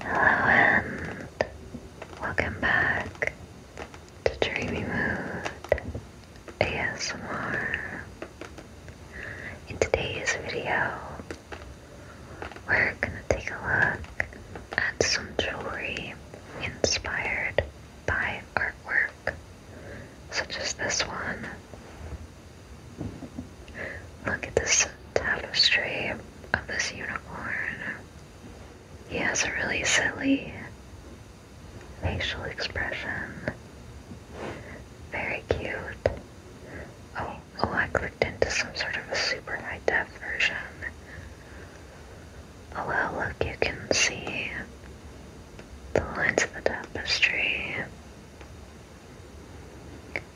Hello and welcome back to Dreamy Mood ASMR. In today's video, we're gonna take a look at some jewelry inspired by artwork, such as this one. Look at this tapestry of this unicorn. He has a really silly facial expression. Very cute. Oh, oh, I clicked into some sort of a super high def version. Oh well, look, you can see the lines of the tapestry.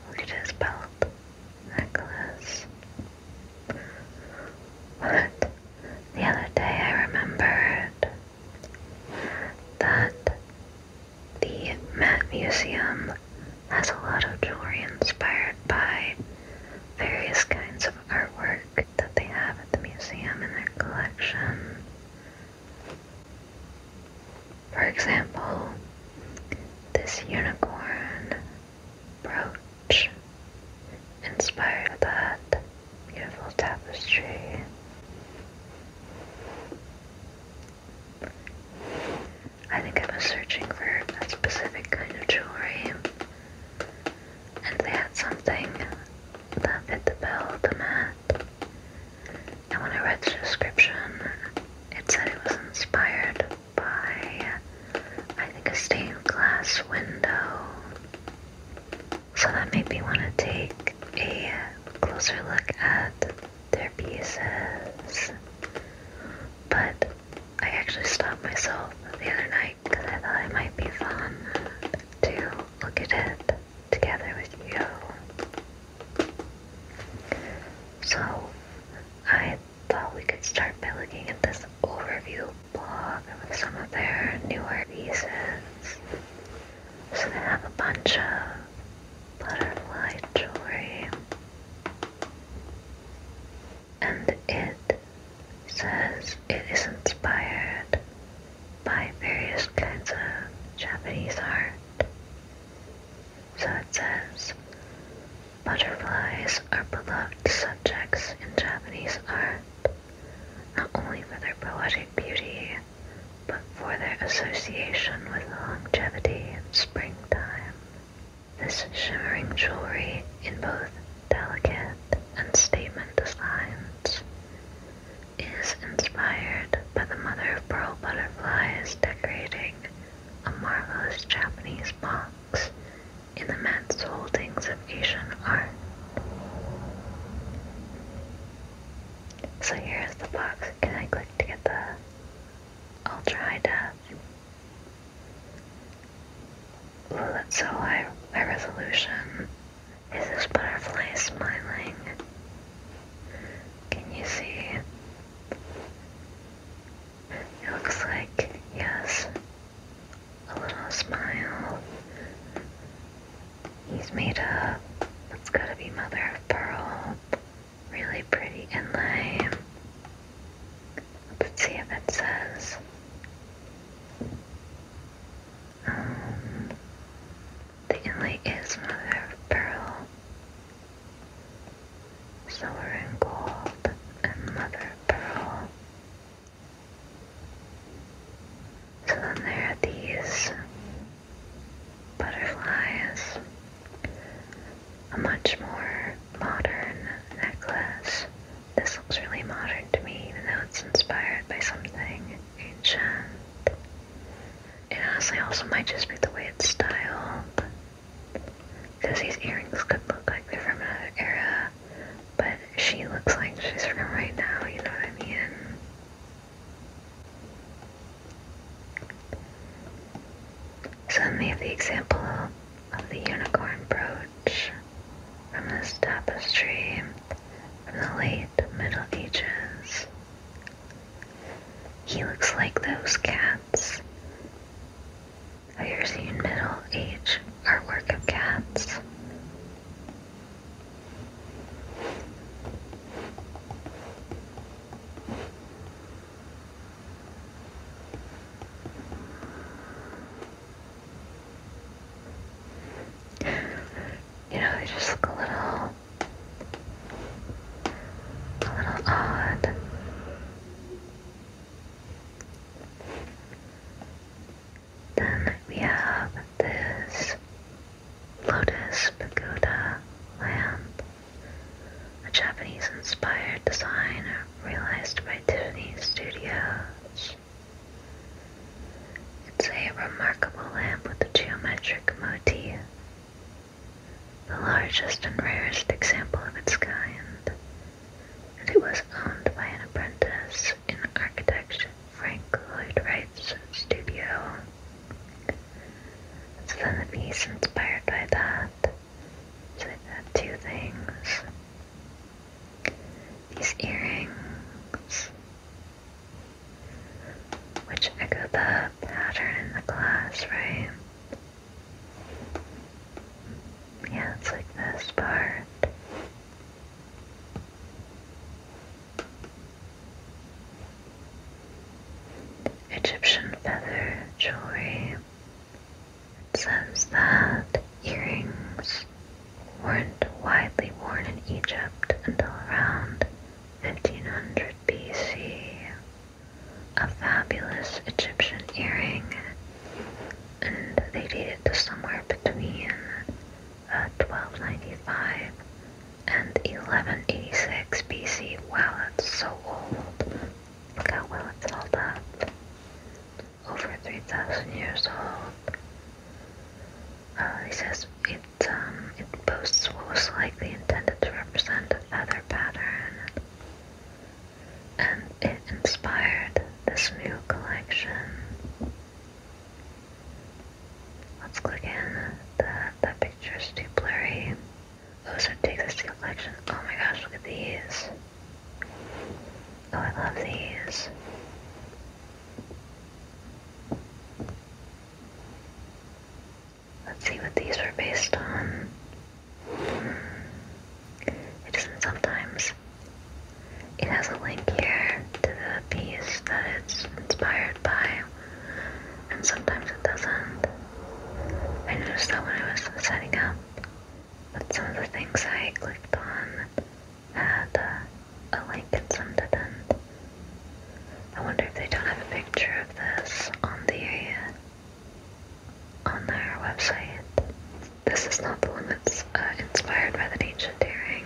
Look at his belt. Necklace. What? The other day I remembered that the Met Museum has a lot of jewelry inspired by various kinds of artwork that they have at the museum in their collection. For example, this unicorn brooch inspired that beautiful tapestry. I think I was searching for that specific kind of jewelry, and they had something that fit the bill the mat. And when I read the description, it said it was inspired by, I think, a stained glass window. So that made me want to take a closer look at their pieces. But I actually stopped myself the other night because I thought it might be fun to look at it together with you. So I thought we could start by looking at this overview blog of some of their newer pieces. So they have a bunch of butterfly jewelry. And it says it is inspired by various kinds of Japanese art so it says, butterflies are beloved subjects in Japanese art, not only for their poetic beauty, but for their association with longevity and springtime. This shimmering jewelry in both delicate and statement designs is inspired by the mother of pearl butterflies decorating a marvelous Japanese pond in the immense holdings of Asian art. So here is the box. Can I click to get the ultra high def? Ooh, that's so high, my resolution. Is this butterfly smiling? Can you see? It looks like he has a little smile. He's made up. It's gotta be mother of pearl. Really pretty inlay. Let's see if it says. Um, the inlay is mother of pearl silver and gold, and mother of pearl. So then there are these butterflies, a much more modern necklace. This looks really modern to me, even though it's inspired by something ancient. And honestly also might just be the way it's styled. Because these earrings could look like they're from another era, but she looks like she's from right now, you know what I mean? Suddenly, the example of the unicorn brooch from this tapestry from the late Middle Ages. He looks like those cats have you ever seen middle age artwork of cats? You know, they just look a little, a little odd. Then we have this Lotus Pagoda lamp, a Japanese inspired design realized by Tiffany Studios. It's a remarkable lamp with a geometric motif, the largest and rarest example of its kind. It was owned by an apprentice in architect Frank Lloyd Wright's studio. It's then the piece inspired by that. So they've two things. These earrings, which echo the pattern in the glass, right? Yeah, it's like this part. Egyptian feather jewelry. says that earrings weren't widely worn in Egypt until around 1500 BC. A fabulous Egyptian earring and they it to somewhere between 1295 uh, and 1186 BC. Wow, that's so old. Look how well it's held up. Over 3,000 years old. It uh, says it, um, it boasts what was likely intended to represent a feather pattern and it inspired this new collection. Let's click in. That that picture's too blurry. Oh, so take this collection. Oh my gosh, look at these. Oh, I love these. Let's see what these were based on. It doesn't sometimes. It has a link here to the piece that it's inspired by, and sometimes it doesn't. I noticed that when I was setting up, that some of the things I clicked on had uh, a link and some didn't. I wonder if they don't have a picture of this on the on their website. This is not the one that's uh, inspired by the ancient daring.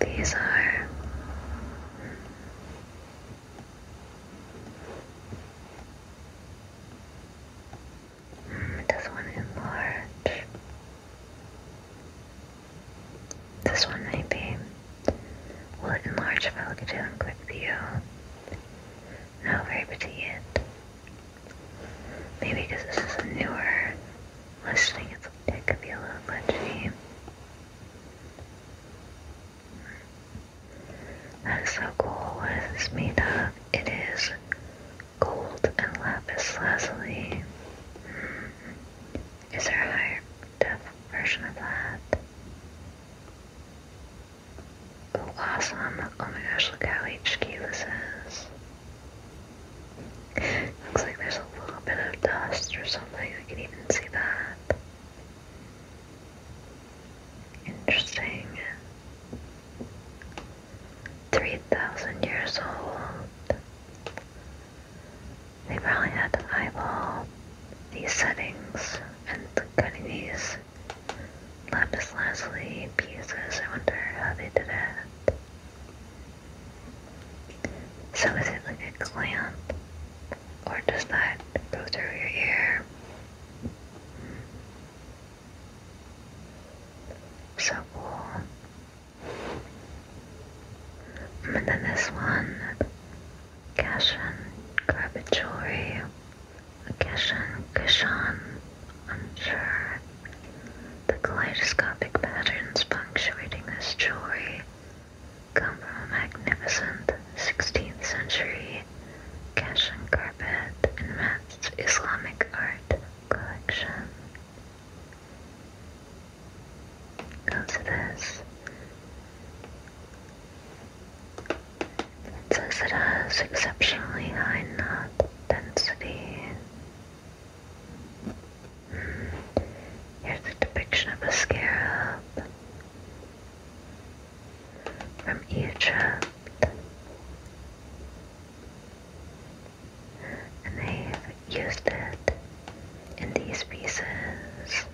These are. Mm, it does This one maybe. Will it enlarge if I look at it on quick view? Not very petite Maybe because this is a newer listing, it's, it could be a little glitchy. That is so cool. What is made of? It is gold and lapis lazuli. Is there a higher def version of that? awesome. Oh my gosh, look how HQ this is. Looks like there's a little bit of dust or something. I can even see that. Interesting. 3,000 years old. They probably had to eyeball these settings and cutting these Lapis Lazuli pieces, I wonder how they did it. So is it like a clamp? Or does that go through your ear? So cool. And then this one, cash and carpet jewelry. Gishan, Gishan, unsure. The kaleidoscopic patterns punctuating this jewelry come from a magnificent 16th century Kashan carpet and matte Islamic art collection. Go to this. It says it has exceptionally high knot density. Hmm. Here's a depiction of a scarab from Egypt. And they've used it in these pieces.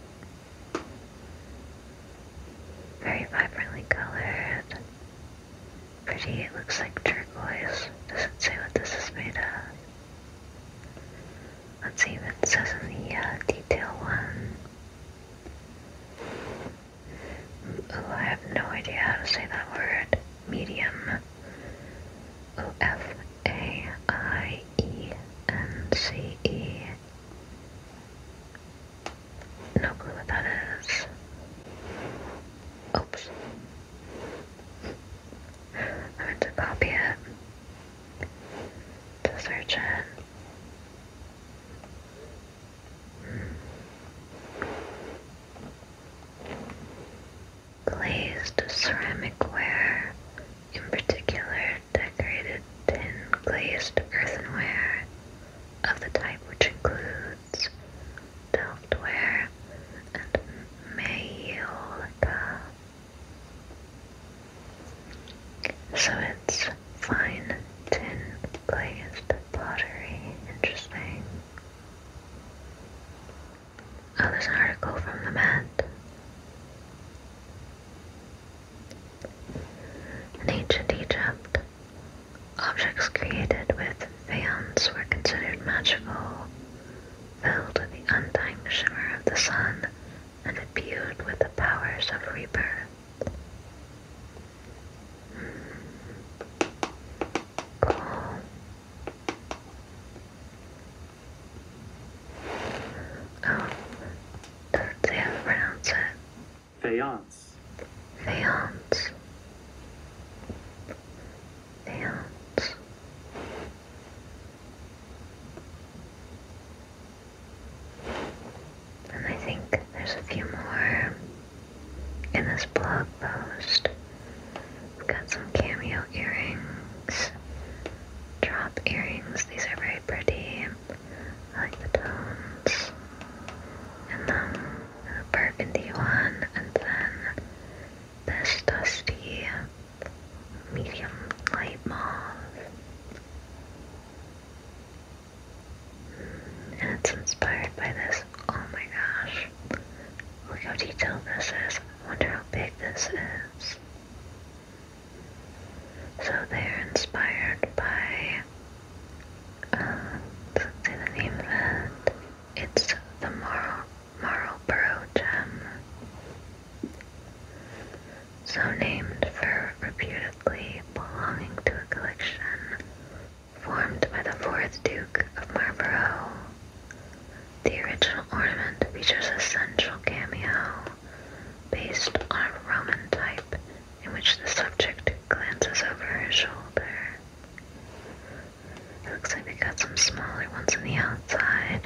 Very vibrantly colored. Pretty, it looks like turquoise. Doesn't say what this is made of. Let's see what it says in the uh, detail one. Oh, I have no idea how to say that word. Medium. O F A I E N C E. No clue what that is. Oops. I meant to copy it. To search it. Glazed ceramic ware, in particular decorated tin glazed earthenware of the type which includes Court, and Majolica. So it's fine tin glazed pottery. Interesting. Oh, there's an article from the Met. In ancient Egypt, Objects created with faience were considered magical, filled with the undying shimmer of the sun, and imbued with the powers of rebirth. Hmm. Cool. Oh, doesn't say pronounce it. Faience. Faience. Faience. And I think there's a few more in this blog post. We've got some cameo earrings, drop earrings. These are very pretty. I like tones in them burgundy one, and then this dusty medium light mauve. And it's inspired by this. Oh my gosh. Look how detailed this is. I wonder how big this is. So they're inspired by and say the name of it. It's the Marl Marlborough Gem. So named for reputedly belonging to a collection formed by the fourth Duke of Marlborough. The original ornament features a central cameo based on a Roman type in which the subject glances over his shoulder. It looks like he got some smaller ones on the outside,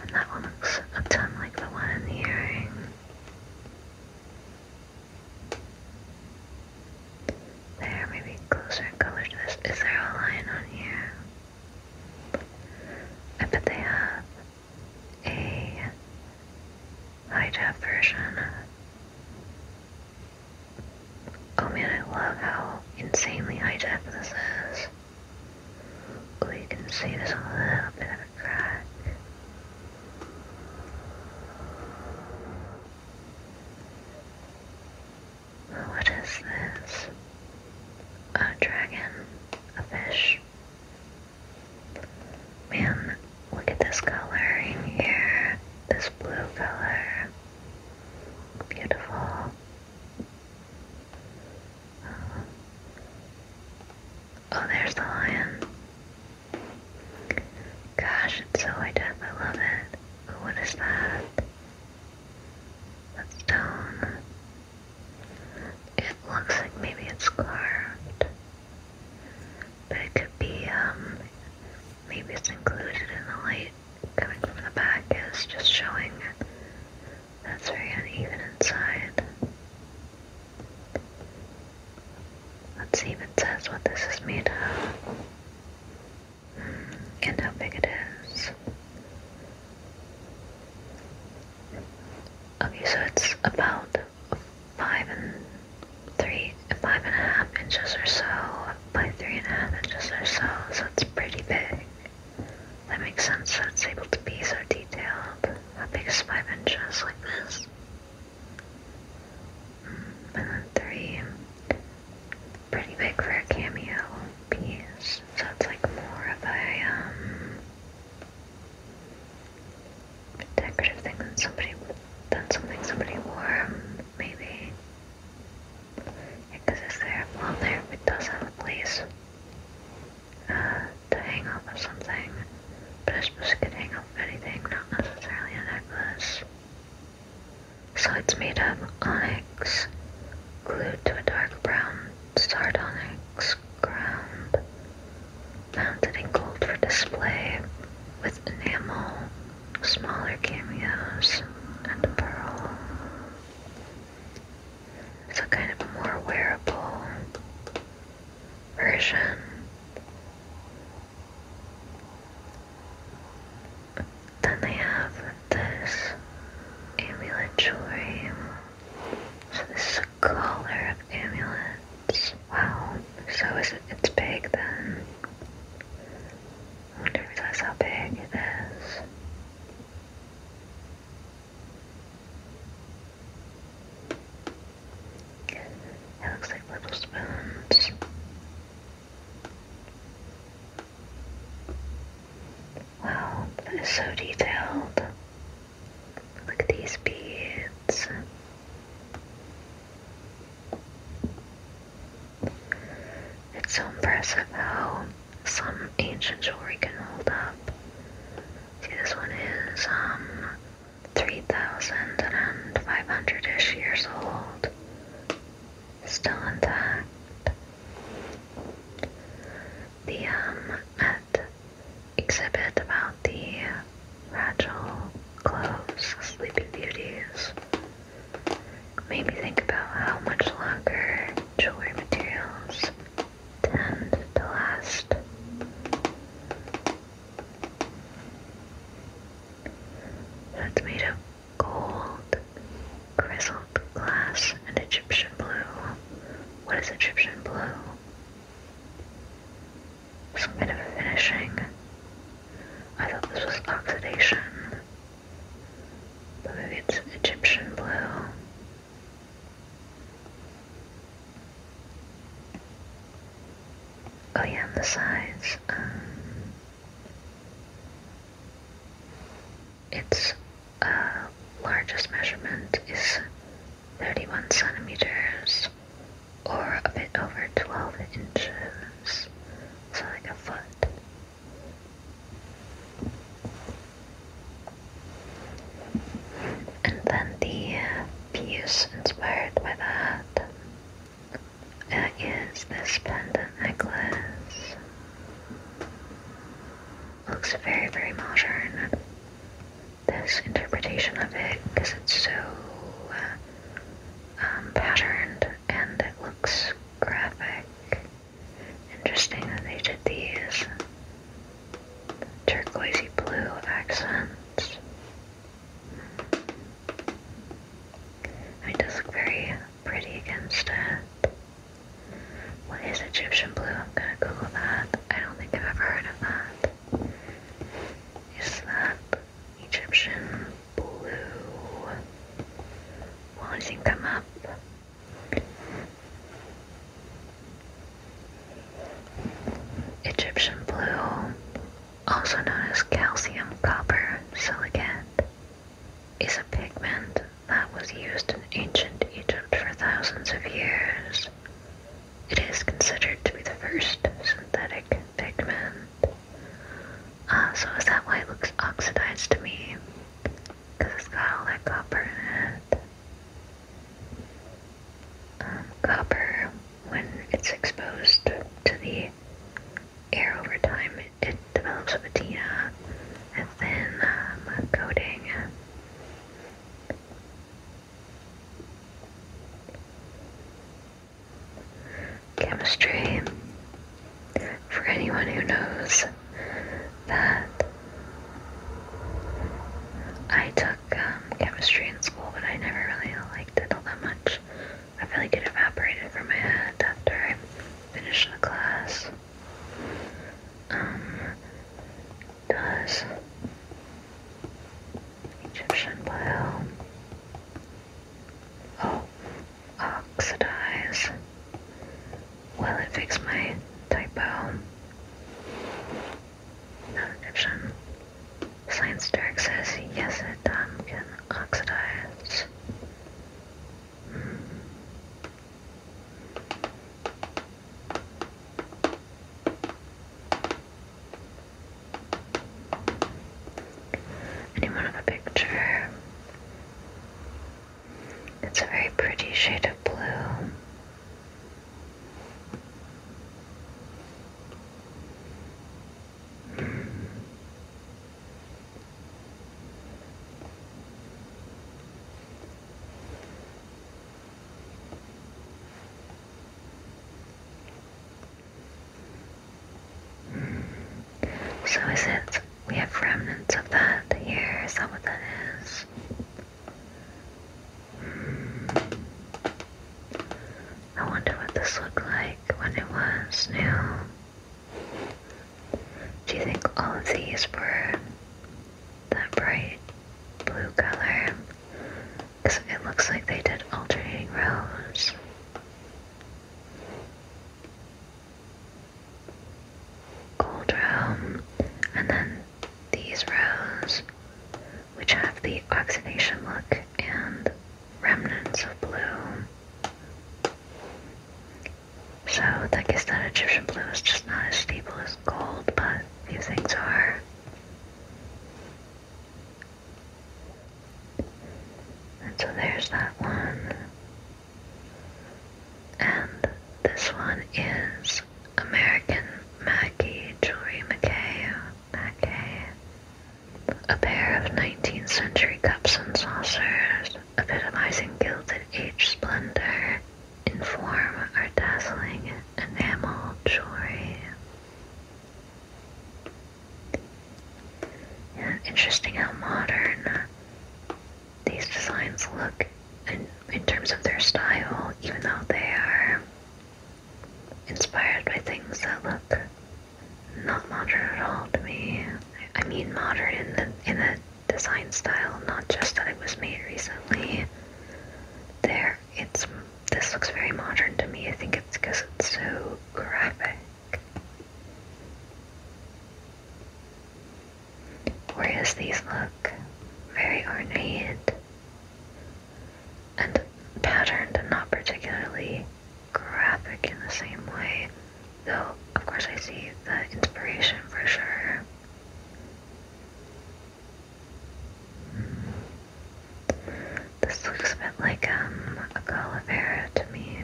and that one looks a ton like the one in the earring. There, maybe closer in color to this. Is there a line on here? I bet they have a high-def version. Oh man, I love how insanely high-def this is. Oh, can see there's a little bit of a crack. What is this? A dragon? A fish? Man, Look at this color in here, this blue color. Beautiful. Uh, oh, there's the lion. Gosh, it's so identical. I love it. Oh, what is that? That stone. It looks like maybe it's carved. But it could be, um, maybe it's included in the light coming from the back is just showing that's very uneven inside. Let's see if it says what this is made of hmm, and how big it is. Okay, so it's about five and three, five and a half inches or so by three and a half inches or so, so it's pretty big. That makes sense That's able to be so detailed. a big is five inches like this? Hmm, and then three, pretty big for a cameo piece. So it's like more of a um, decorative thing than somebody than something somebody wore maybe. Because it's there a wall there which does have a place uh, to hang up or something? But I suppose it could hang up anything, not necessarily a necklace. So it's made of onyx glued to a dark brown starred ground, mounted in gold for display with enamel smaller cameos, and Pearl. It's a kind of more wearable version. Then they have this amulet jewelry. So this collar of amulets. Wow. So is it, it's big then. I didn't realize how big it is. It looks like little spoons. Wow, that is so detailed. Look at these beads. It's so impressive how some ancient jewelry can hold up. See, this one is um 3,500-ish years old. Still intact. The um at exhibit about the fragile clothes, sleeping beauties. Made me think about how much longer jewelry materials tend to last. That's made of gold, grizzled glass, and Egyptian blue. What is Egyptian blue? Some kind of finishing. I thought this was oxidation. But maybe it's Egyptian blue. Oh yeah, the sides. Um, its uh, largest measurement is 31 centimeters or a bit over 12 inches, so like a foot. And then the piece inspired by that is this pendant necklace. Looks very, very modern. This interpretation of it, because it's so uh, um, patterned and looks graphic. Interesting that they did these turquoisey blue accents. it does look very pretty against it. What is Egyptian blue? I'm gonna Google that. I don't think I've ever heard of that. Is that Egyptian blue. Well, I up. Egyptian blue, also known as calcium copper silicate, is a pigment that was used in ancient Egypt for thousands of years. It is considered to be the first synthetic pigment. Uh, so is that why it looks oxidized to me? Because it's got all that copper in it. Um, copper, when it's exposed to the air over time, it, develops a patina and then um, coating. Chemistry, for anyone who knows that I took um, chemistry in school, but I never really liked it all that much. I feel like it evaporated from my head after I finished the class. Um, does Egyptian bio? Oh, oxidize. Will it fix my typo? Another option. Science Dirk says yes, it um, can oxidize. Hmm. Anyone have a picture? It's a very pretty shade of blue. So is it? We have remnants of that here, is that what that is? Hmm. I wonder what this looked like when it was new. Do you think all of these were that bright blue color? Because it looks like they did alternating rows gold room, and then these rows, which have the oxidation look and remnants of blue. So that guess that Egyptian blue is just not as stable as gold, but a few things are. And so there's that one. And this one is American Mackie Jewelry McKay. McKay. A pair of 19th century cups and saucers, epitomizing gilded age splendor, in form are dazzling enamel jewelry interesting how modern uh, these designs look in, in terms of their style, even though they are inspired by things that look not modern at all to me. I mean modern in the in the design style, not just that it was made recently. There, it's this looks very modern to me. I think it's because it's so graphic. Whereas these look very ornate and patterned and not particularly graphic in the same way, though of course I see the inspiration for sure. Hmm. This looks a bit like um, a calavera to me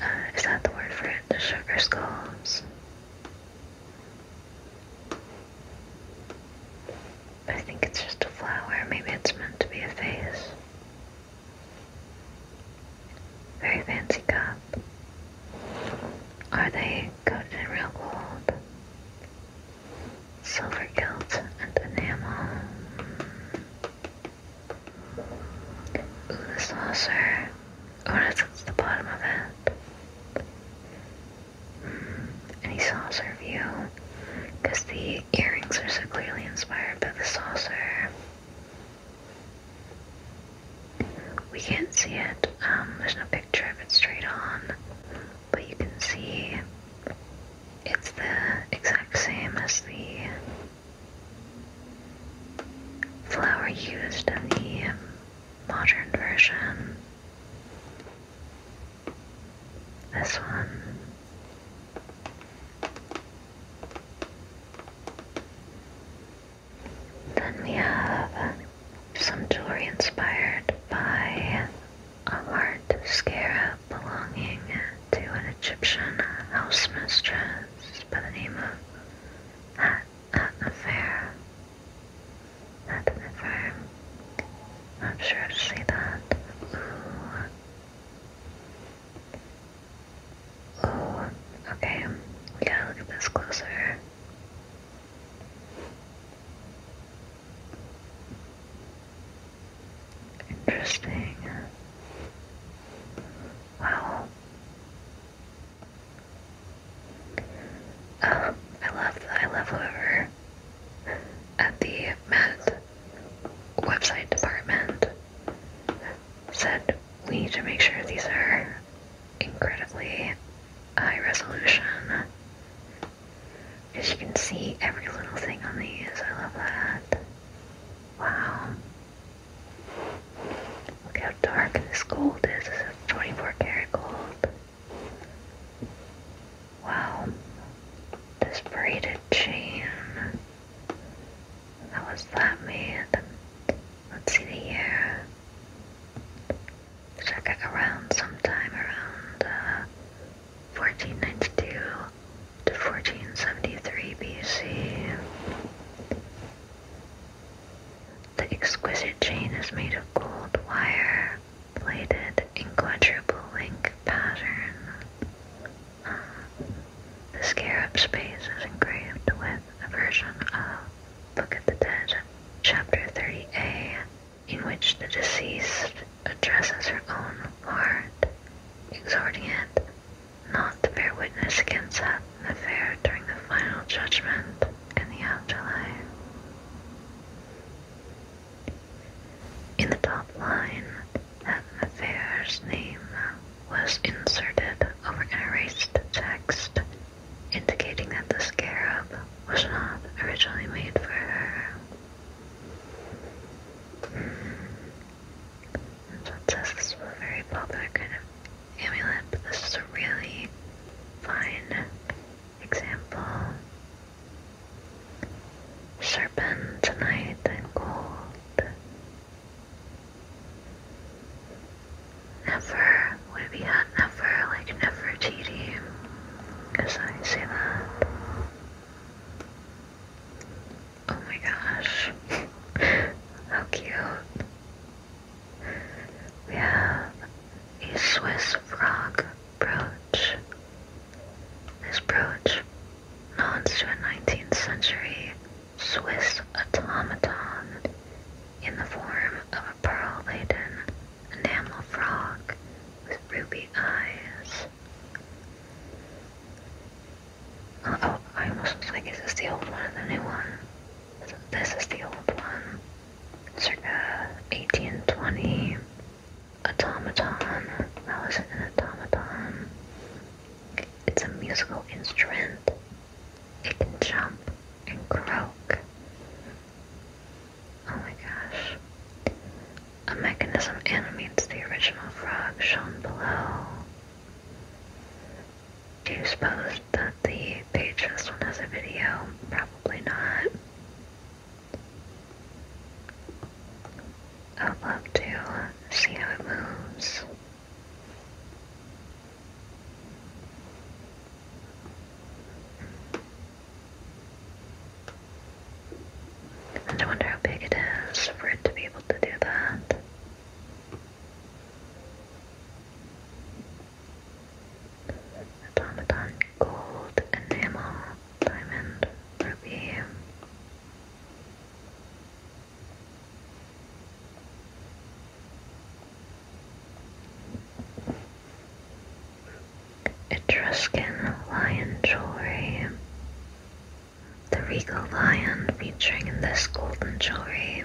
uh, is that the word for it? The sugar skulls. I think it's just a flower. Maybe it's meant to be a face. Very fancy cup. Are they coated in real gold? Silver gilt and enamel. Ooh, the saucer. Oh, that's at the bottom of it. Mm, any saucer view. Because the earrings are so clearly inspired by the saucer. We can't see it. Um, there's no picture of it straight on. But you can see it's the exact same as the Flower used in the modern version. This one. Then we have some jewelry inspired by a art scarab belonging to an Egyptian housemistress by the name of Hat Atnefer. Atnefer. I'm sure how say that. Ooh. Okay, we gotta look at this closer. Interesting. Wow. I love I love whoever at the Met website department said we need to make sure these are incredibly high resolution. Because you can see every little thing on these. I love that. Wow. Look how dark this gold is. This is 24 karat gold. Wow. This braided chain. How was that made? Let's see the year. Check around sometime around 1492. Uh, to 1473 BC. The exquisite chain is made of gold wire, plated in quadruple link pattern. the scarab space is engraved with a version of Book of the Dead, Chapter 30a, in which the deceased addresses her own heart, exhorting it not to bear witness against that affair during the final judgment in the afterlife. In the top line, that Mafair's name was inserted over an erased text, indicating that the scarab was not originally made for her. Hmm. So it says this is a very popular kind of amulet, but this is a really fine example. Serpent tonight and gold. Never would be at never like never TD. Cause I say that. Oh my gosh. How cute. We have a Swiss frog brooch. This brooch, known to a 19th century Swiss automaton in the form of a pearl laden enamel frog with ruby eyes. Oh, I'm like, it's the old one the new one? This is the old one. Circa 1820. Automaton. That was an automaton. It's a musical instrument. It can jump and croak. Oh my gosh. A mechanism animates the original frog shown below. Do you suppose that the page this one has a video? Probably not. I would love to see how it moves. I wonder how big it is for it to be able to do that. Automaton, gold, enamel, diamond, ruby. Etruscan lion jewelry, the regal lion featuring in this golden jewelry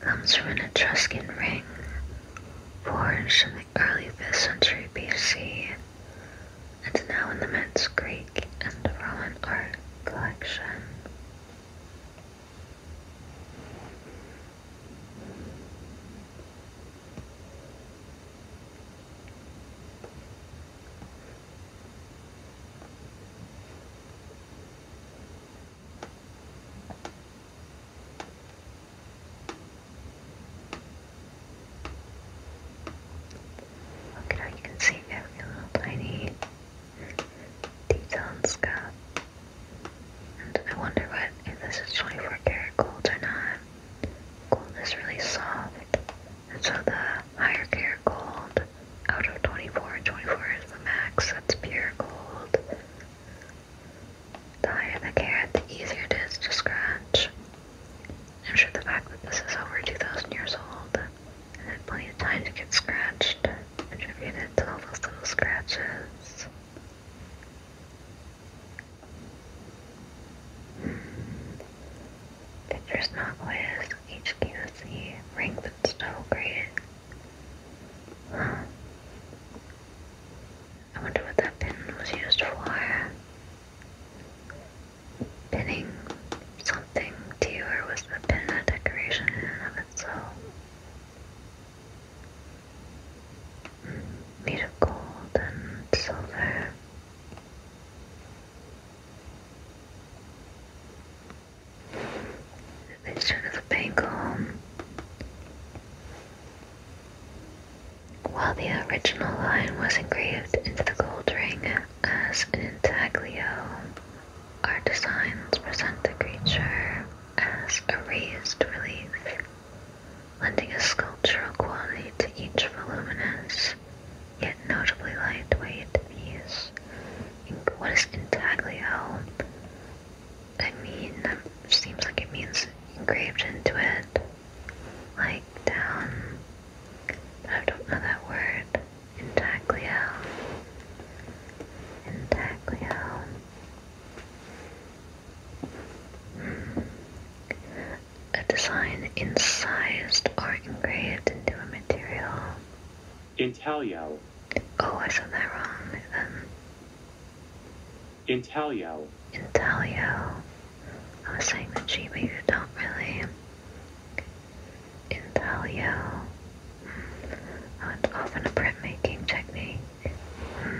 comes from an Etruscan ring forged in the early 5th century BC and now in the Met's Greek and Roman art collection. Look at how you can see every little tiny detail the scar. And I wonder what if this is 24 karat gold or not. Gold is really soft. And so the higher care gold out of 24, 24 is the max, that's pure gold. The higher the carat, the easier it is to scratch. I'm sure the fact that this is over 2,000 years old and had plenty of time to get scratched contributed to all those little scratches. Hmm. Pitcher's Nautilus, HQC, ranked and still graded. Huh. I wonder what that pin was used for. Pinning something to or was the pin a decoration in and of itself? Hmm, made of gold and silver. Vision of the Penguin. While the original line was engraved into the gold ring as an intaglio, our designs present the creature as a raised relief, lending a sculptural quality to each voluminous yet notably lightweight views. What is intaglio? I mean, seems like it means engraved into it, like down. I don't know that word. Intaglio. Intaglio. Hmm. A design incised or engraved into a material. Intalyao. Oh, I said that wrong then. Um, Intalyao. Intalyao. I was saying that she but you don't really. Intalyao. Mm. Oh, it's often a printmaking technique. Hmm.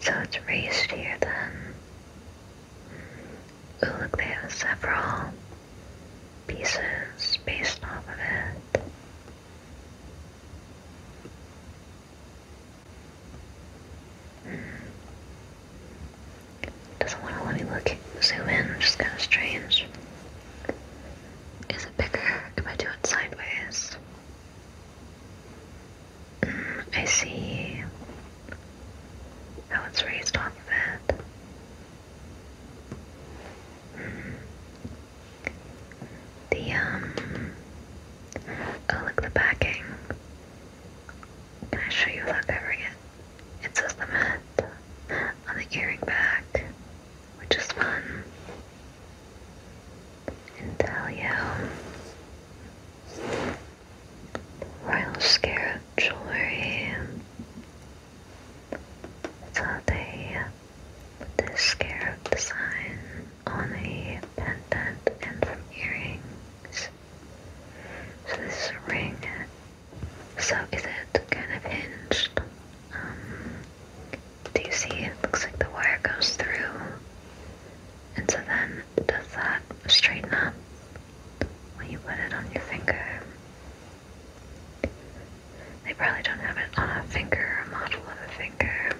So it's raised here then look, they have several pieces based off of it. Hmm. Doesn't want to let me look zoom in, Just kind of strange. Is it bigger if I do it sideways? Mm, I see how oh, it's raised off of it. Mm. The, um, oh look, the backing. Can I show you without covering it? It says the Met on the earring back, which is fun. Intelio royal scarab jewelry. So they put this scarab design on the pendant and earrings. So this ring. So is it kind of hinged? Um, do you see it looks like the wire goes through? And so then does that straighten up when you put it on your finger? They probably don't have it on a finger, a model of a finger.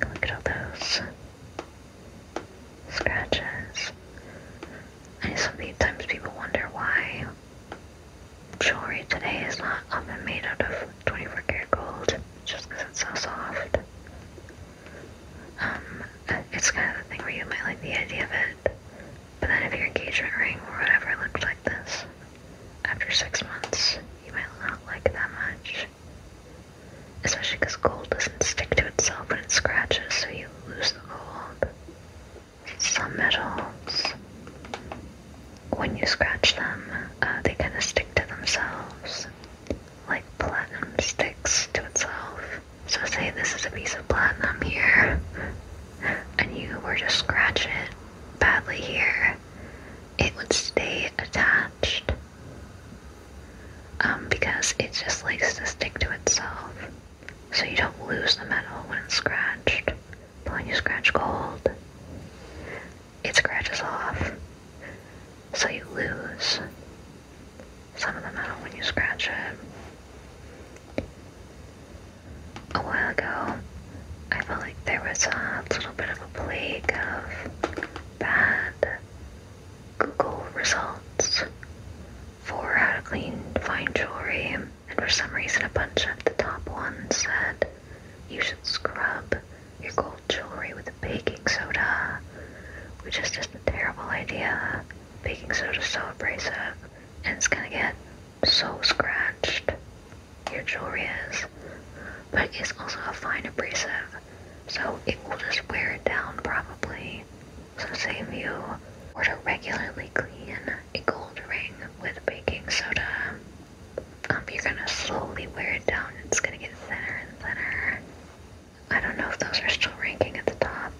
Look at all those scratches. I sometimes people wonder why jewelry today is not often made out of 24 karat gold just because it's so soft. Um, it's kind of the thing where you might like the idea of it, but then if your engagement ring or whatever looked like this, after six months, you might not like it that much. Especially because gold doesn't stick to itself when it scratches, so you lose the gold. Some metals when you scratch them, uh, they kind of stick to themselves, like platinum sticks to itself. So say this is a piece of platinum here, and you were just scratch it badly here, it would stay attached um, because it just likes to stick to itself. So you don't lose the metal when it's scratched. But when you scratch gold, it scratches off. So you lose some of the metal when you scratch it. A while ago, I felt like there was a little bit of a plague of bad Google results for how to clean fine jewelry, and for some reason, a bunch of the top ones said you should scrub your gold jewelry with baking soda, which is just a terrible idea. Baking soda is so abrasive, and it's gonna get so scratched. Your jewelry is, but it's also a fine abrasive, so it will just wear it down probably. So say if you were to regularly clean a gold ring with baking soda, um, you're gonna slowly wear it down. It's gonna get thinner and thinner. I don't know if those are still ranking at the top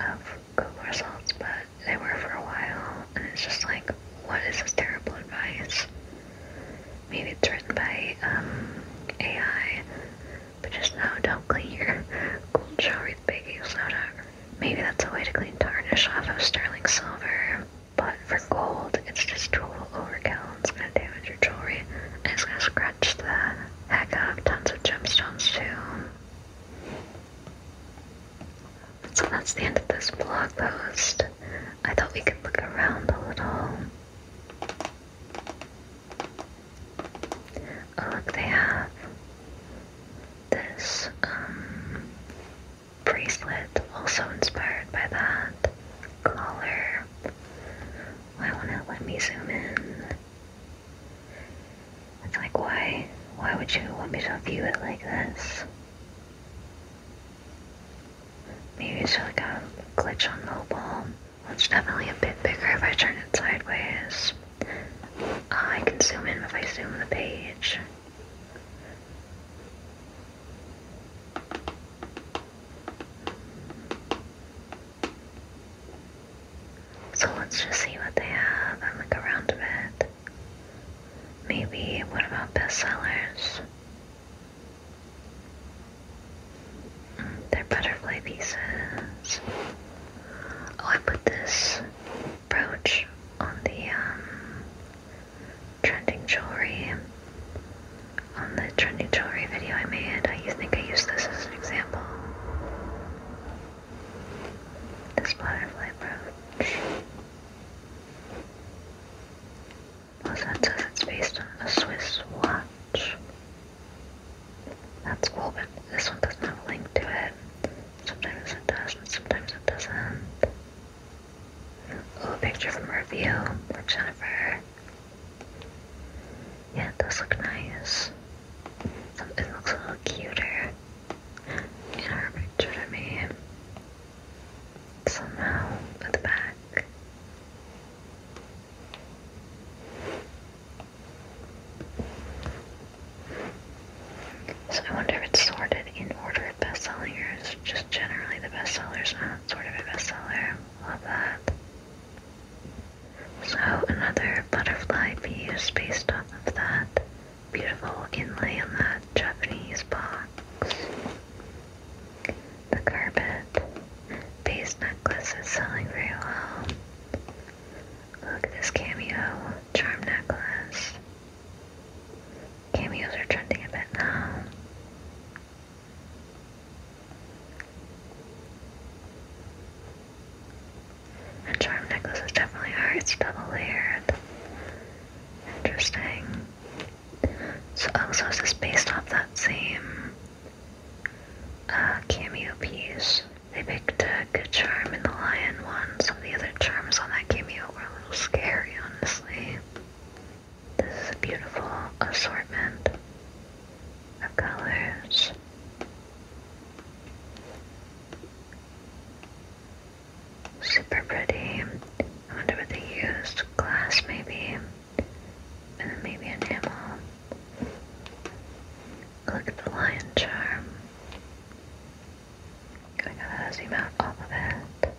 of Google results, but they were for a while. And it's just like, what is this terrible advice? Maybe it's written by um, AI, but just no, don't clean your gold jewelry with baking soda. Maybe that's a way to clean tarnish off of sterling silver. But for gold, it's just total overkill. It's gonna damage your jewelry, and it's gonna scratch the heck out of tons of gemstones too. So that's the end of this blog post. I thought we could look around a little. Oh look, they have this um, bracelet, also inspired by that collar. Why not let me zoom in? It's like why why would you want me to view it like this? Maybe it's like a glitch on mobile. It's definitely a bit bigger if I turn it sideways. Ah, I can zoom in if I zoom the page. So let's just see what they have and look around a bit. Maybe what about bestsellers? Mm, they're butterfly pieces. Oh, I put this brooch on the um trending jewelry. On the trending jewelry video I made, I think I used this as an example. This butterfly brooch. Also, it based on a Swiss watch. That's cool, but this one doesn't have a link to it. Sometimes it does, and sometimes it doesn't. A little picture from a review with Jennifer. Yeah, does look nice. It looks a little cuter in her picture to me. Somehow, at the back. So I wonder if it's sorted in order of bestsellers, just generally the bestsellers, not sort of a bestseller. Love that. So another butterfly piece based off of that beautiful inlay on that Japanese box. The carpet base necklace is selling very well. Look at this cameo charm necklace. Cameos are trending a bit now. And charm necklace is definitely hard, it's double layered. Interesting. So, oh, so is based off that same uh, cameo piece? They picked a good charm in the lion one. Some of the other charms on that cameo were a little scary, honestly. This is a beautiful assortment of colors. Super pretty. I wonder what they used. Glass maybe. And then maybe enamel. Look at the lion charm. I gotta zoom out all of it.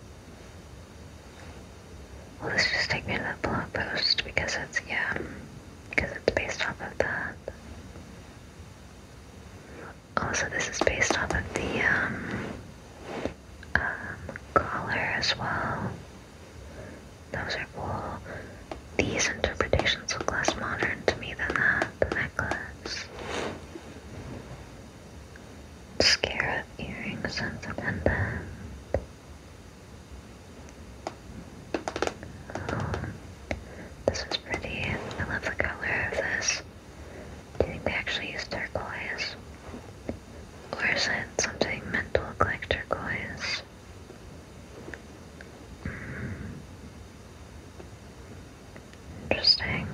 Well, this just take me to that blog post because it's, yeah, because it's based off of that. Also, this is based off of the, um, um, collar as well. Those are cool. These interpretations look less modern to me than that, necklace. Scarab earrings and the this is pretty. I love the color of this. Do think they actually use turquoise? Or is it something meant to like turquoise? Hmm. Interesting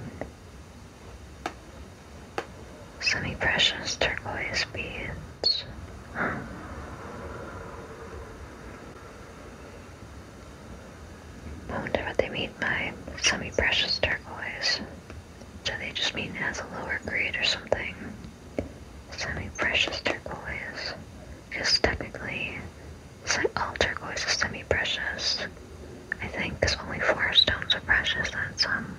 semi-precious turquoise beads. I wonder what they mean by semi-precious turquoise. Do they just mean it has a lower grade or something? Semi-precious turquoise. Because technically, all turquoise is semi-precious. I think there's only four stones of precious and some um,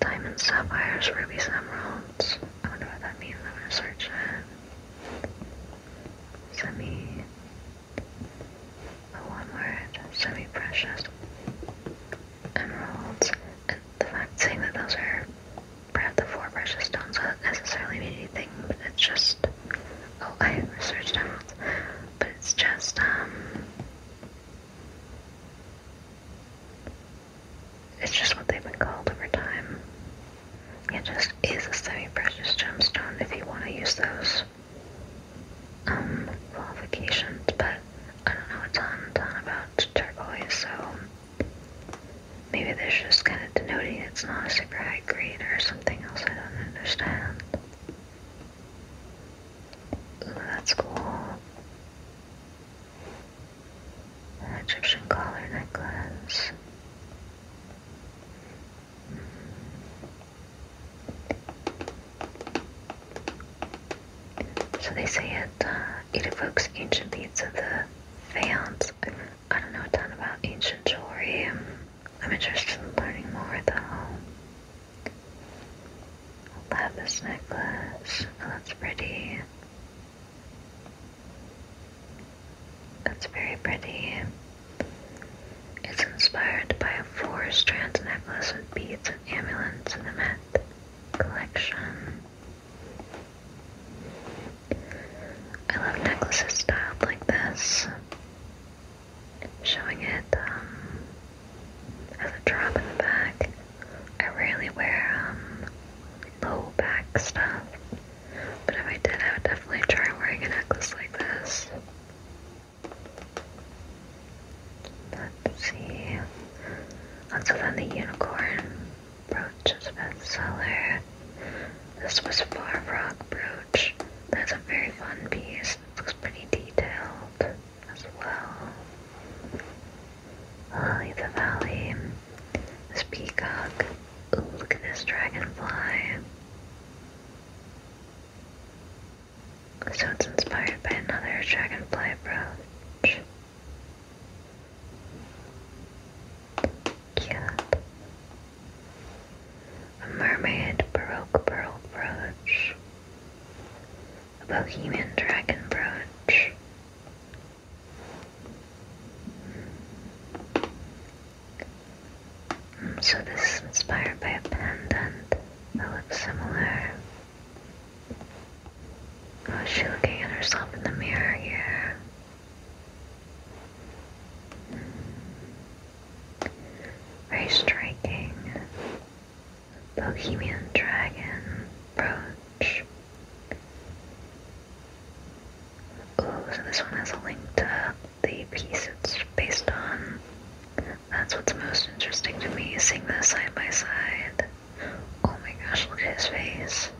Diamonds, sapphires, rubies, emeralds. I wonder what that means. I'm gonna search it. Semi. Oh, one word. Semi precious. Emeralds. the fact saying that those are perhaps the four precious stones doesn't necessarily mean anything. It's just. Oh, I researched emeralds. But it's just, um, it's just what they've been called over time. It just is a semi-precious gemstone if you want to use those um, qualifications, but I don't know a ton, ton about turquoise, so maybe this is just kind of denoting it's not a super high grade or something else I don't understand. that's cool. Egyptian collar necklace. Mm. So they say uh, it evokes ancient beads of the faience. I don't know a ton about ancient jewelry. I'm interested in learning more though. I love this necklace. Oh, that's pretty. That's very pretty. It's inspired by a four strand necklace with beads and amulets in the Met collection. I love necklaces styled like this, showing it um, has a drop in the back. I rarely wear um, low back stuff, but if I did, I would definitely try wearing a necklace like this. Let's see. Also, then the unicorn brooch is a bestseller. This was Far Rock brooch. That's a very fun piece. looks pretty detailed as well. Lily oh, Valley, this peacock. Ooh, look at this dragonfly. So it's inspired by another dragonfly brooch. Cute. A mermaid baroque pearl brooch. A bohemian dragon brooch so this is inspired by a pendant that looks similar. Oh, is she looking at herself in the mirror here? Very striking. Bohemian Dragon brooch. Ooh, so this one has a link to the piece it's based on. That's what's most interesting to me, seeing this side by side. Oh my gosh, look at his face.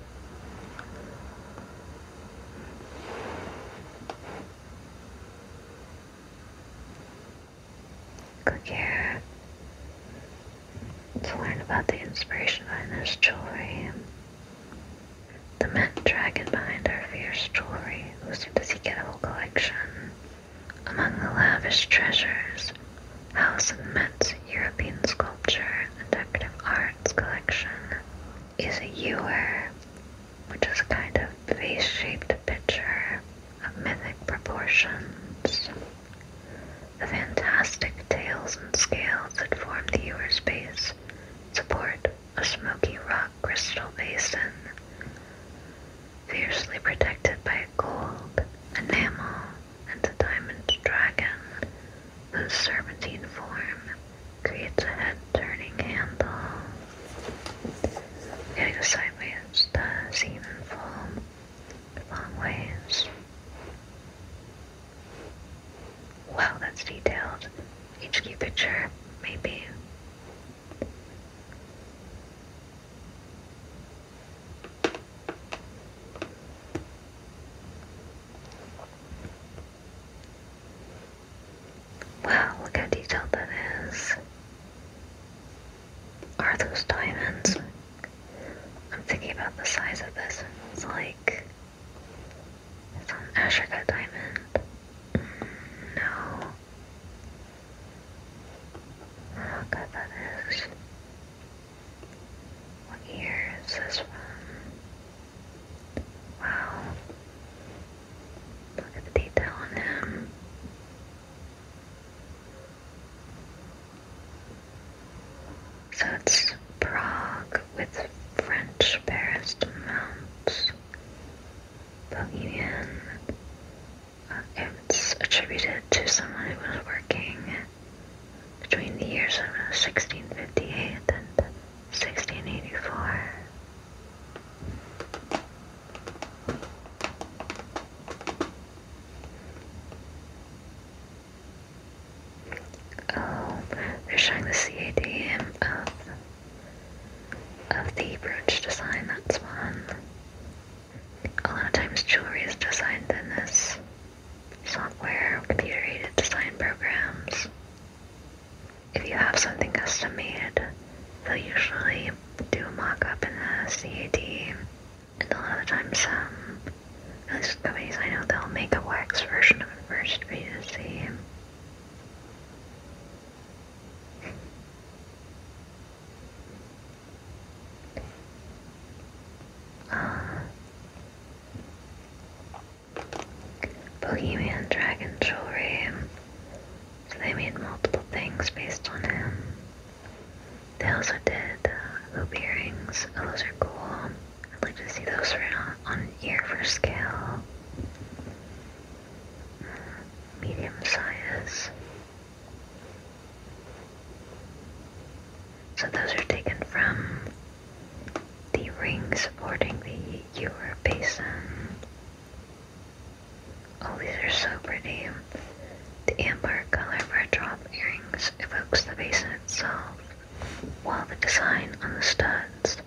Click here. To learn about the inspiration behind this jewelry, the mint dragon behind our fierce jewelry, who seemed to seek a whole collection. Among the lavish treasures, House of Met's European sculpture and decorative arts collection is a ewer, which is a kind of vase shaped pitcher of mythic proportions. The fantastic tails and scales that form the ewer's base support a smoky rock crystal basin, fiercely protected by gold, enamel, and a diamond dragon, The serpentine form creates a head-turning handle. Getting sideways, the semen foam long ways. Wow, that's detailed. Each key maybe. Wow, look how detailed that is. Are those diamonds? I'm thinking about the size of this. It's like. It's an Ashoka diamond. Mm, no. How good that is. What year is this from? Wow. Look at the detail on him. So it's Prague with French Paris mounts, Bohemian. Okay, uh, it's attributed to someone who was working between the years of 1658 and 1684 they're showing the CAD of, of the brooch design, that's one. A lot of times jewelry is designed in this software, computer-aided design programs. If you have something custom made, they'll usually do a mock-up in the CAD and a lot of times um, most companies I know they'll make a wax version of it first for you to see. Uh, Bohemian Dragon jewelry. So they made multiple things based on him. They also did the uh, hoop earrings. Oh, those are cool. I'd like to see those right on, on ear for scale. Mm, medium size. So those are taken from the ring supporting the ewer basin. Oh, these are so pretty. The amber color of her drop earrings evokes the basin itself, while the design on the studs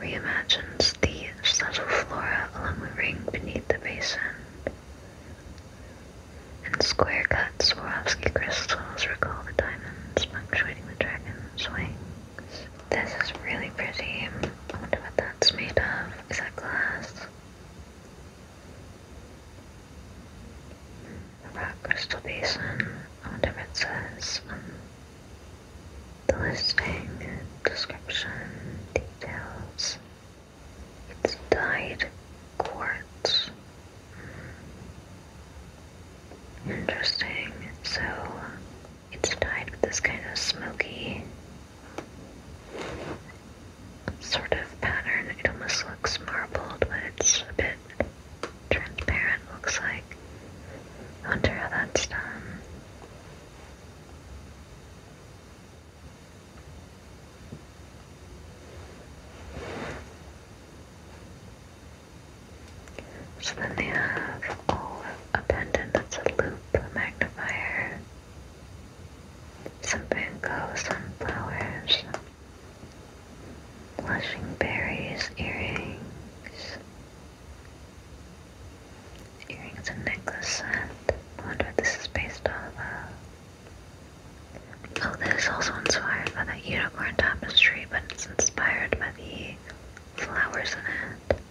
reimagines the subtle flora along the ring beneath the basin. And square cut Swarovski crystals recall the diamonds punctuating the dragon's wings. This is really pretty. I wonder what that's made of. Is that glass? about Crystal Basin, On wonder if the listing, description, details. It's dyed quartz. Interesting. So it's dyed with this kind of smoky sort of pattern. It almost looks marbled, but it's a bit transparent looks like. I wonder how that's done. So then they have all a pendant that's a loop, magnifier, some Van some flowers, blushing berries, earrings, earrings and necklace set. I wonder if this is based off of. Oh, this is also inspired by that unicorn tapestry, but it's inspired by the flowers in it.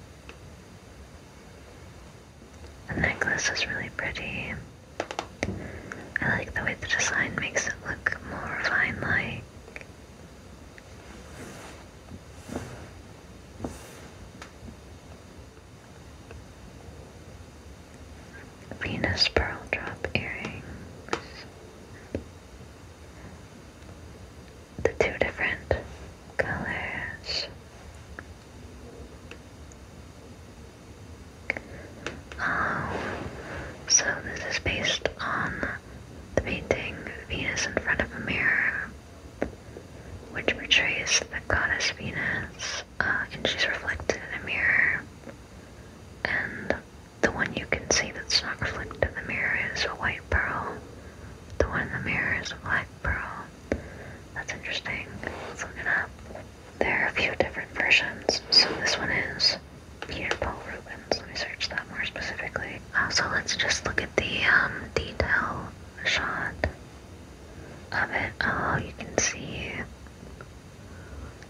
The necklace is really pretty. I like the way the design makes it look more refined-like. Venus pearl drop earrings. The two different colors. Um, so this is based on the painting Venus in Front of a Mirror, which portrays the goddess Venus, uh, and she's reflected in a mirror. And the one you can see that's not reflected in the mirror is a white pearl. The one in the mirror is a black pearl. That's interesting. Let's look it up. There are a few different versions. So this one is Peter Paul Rubens. Let me search that more specifically. Uh, so let's just look at the um, detail shot of it. Oh, you can see.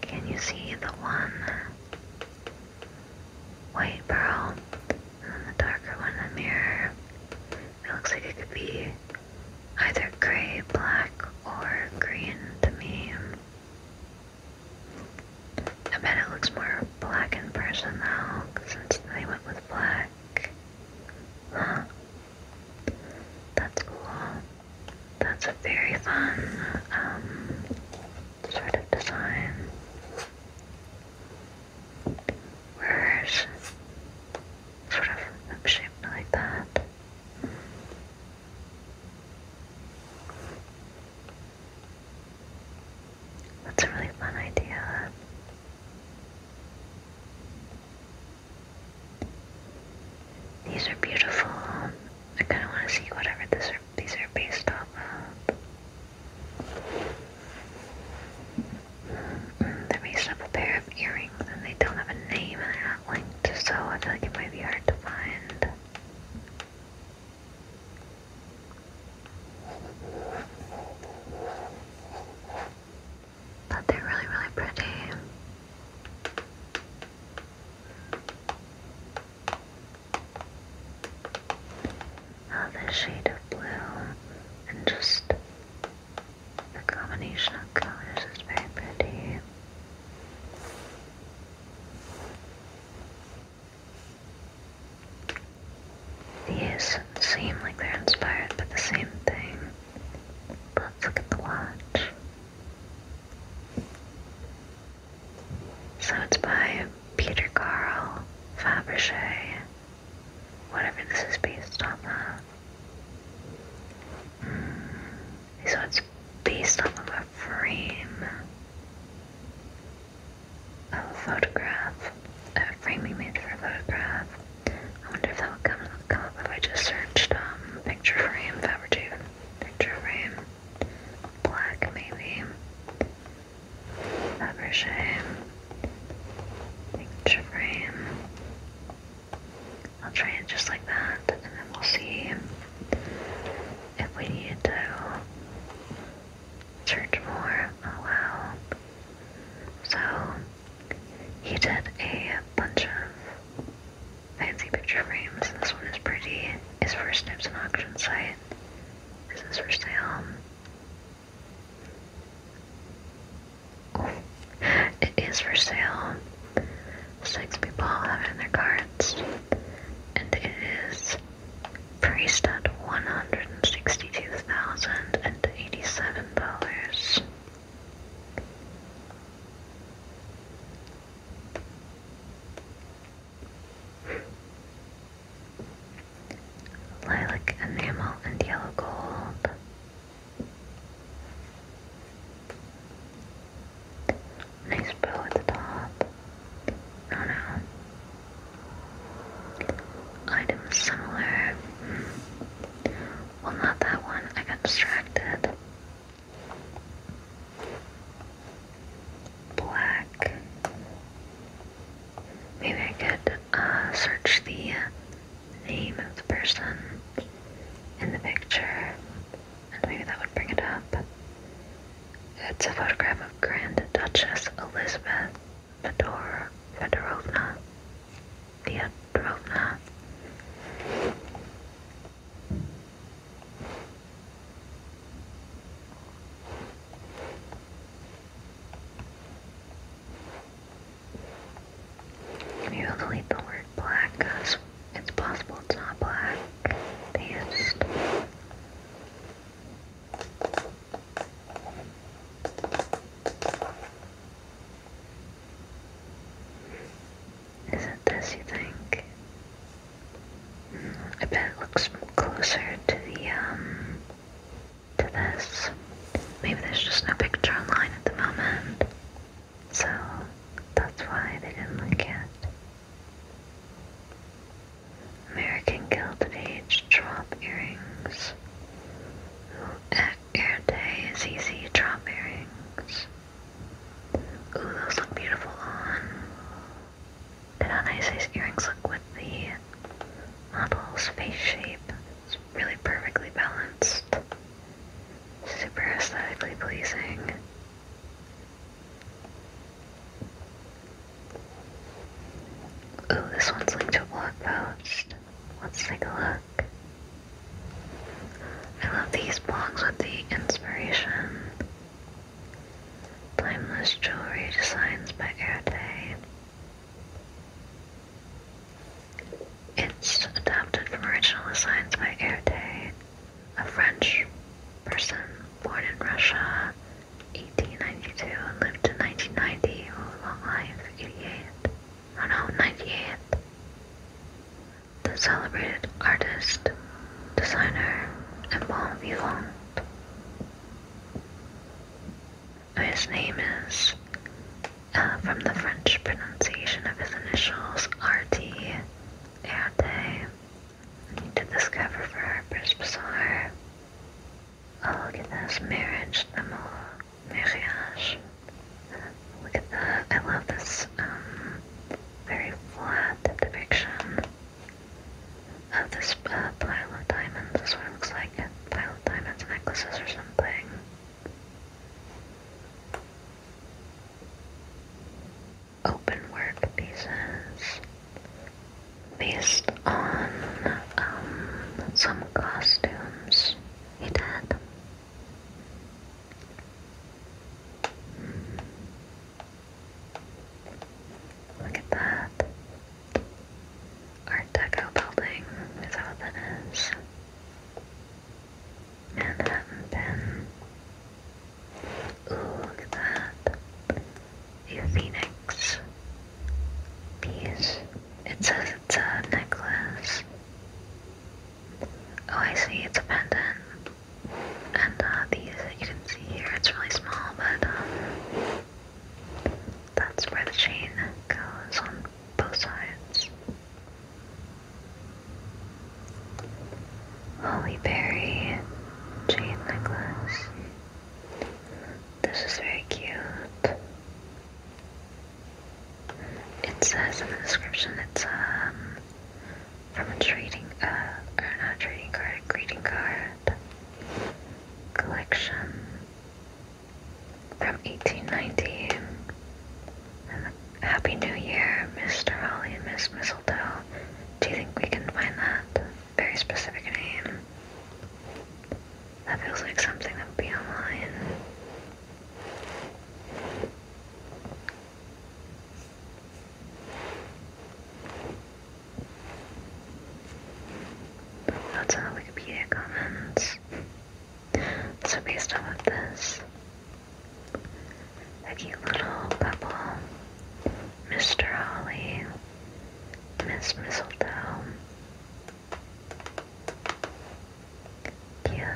Can you see the one white pearl and then the darker one in the mirror? It looks like it could be either gray, black, or green to me. I bet it looks more black in person now, since they went with black. Huh. That's cool. That's a very fun, um, sort of design. Where's sort of shaped like that. That's a really fun idea. These are beautiful. I kind of want to see whatever this are, these are based off they're based off a pair of earrings and they don't have a name and they're so I feel like it might be hard to find. But they're really, really pretty. Oh, this shade of blue and just the combination of colors is very pretty. These seem like they're inspired by the same thing. let's look at the watch. So it's by Peter Carl Fabergé. Whatever this is based on hmm. So it's based on frame, a photograph, a frame made for a photograph. I wonder if that would come, up if I just searched um, picture frame, Fabertune, picture frame, black maybe, Fabergé, picture frame. I'll try it just like that and then we'll see if we needed to search more. Oh wow. So he did a bunch of fancy picture frames. This one is pretty. His first tip's an auction site. This is for sale. it is for sale six people have in their cards. And it is priced at $162,087. Lilac enamel and yellow gold. Nice bow at the top. No, no. Items similar. Well, not that one. I got distracted. Black. Maybe I could uh, search the name of the person in the picture, and maybe that would bring it up. It's a photograph of Grand Duchess Elizabeth Fedor Fedorovna Fyodorovna. You delete the word black because it's possible it's not black. They just is it this you think? Mm, I bet it looks closer to the, um, to this. Maybe there's just no picture online at the moment. So that's why they didn't like it. American Gilded Age drop earrings. Erte ZZ drop earrings. Ooh, those look beautiful on. Look how nice these earrings look with the model's face shape. It's really perfectly balanced. Super aesthetically pleasing. Oh, this one's linked to a blog post. Let's take a look. I love these blogs with the inspiration. Timeless Jewelry Designs by Erte. It's adapted from original designs by Erte a French person born in Russia, 1892 and lived to 1990. long life, 88. no, 98. The celebrated artist, designer, and bomb vivant. His name is, uh, from the French pronunciation of his initials, R.T. Arte, did this cover for Harper's Bazaar. Oh, look at this. Marriage, more marriage. Look at that. I love this um, very flat depiction of this uh, pile of diamonds. This one looks like. A pile of diamonds, necklaces, or something open work pieces based on um, some costumes he did. Look at that. Art Deco building is how that is. Manhattan Pin. Ooh, look at that. phoenix piece. It says it's a necklace. Oh, I see. It's a pendant. And uh, these that you can see here, it's really small, but um, that's where the chain goes on both sides. Holly Hollyberry chain necklace. This is very cute. It says in the description it's um from a trading uh or not trading card, greeting card collection from 1890. Happy New Year, Mr. Holly and Miss Mistletoe. Do you think we can find that? very specific name. That feels like something that would be online. That's on Wikipedia comments. So based off of this, a cute little couple, Mr. Holly Miss Mistletoe. Cute.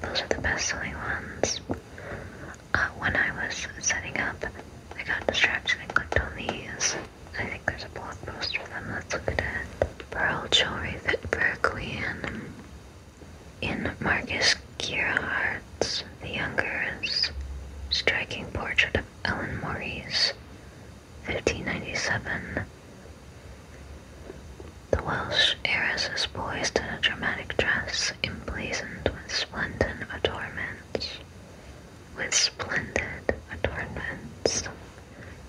Those are the best selling ones. Uh, when I was setting up, I got distracted and clicked on these. I think there's a blog post for them. Let's look at it. Pearl jewelry fit for a queen. In Marcus Gerhardt's The Younger's striking portrait of Ellen Maurice, 1597, the Welsh heiress is poised in a dramatic dress emblazoned with splendid adornments. With splendid adornments.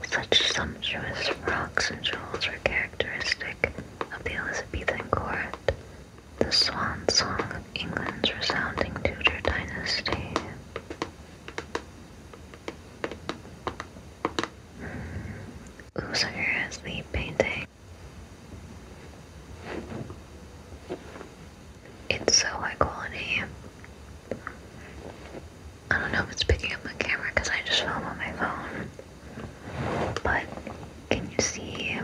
Such sumptuous frocks and jewels were characteristic of the Elizabethan court the swan song of England's resounding Tudor dynasty. Hmm. Usinger is the painting. It's so high quality. I don't know if it's picking up the camera because I just film on my phone. But can you see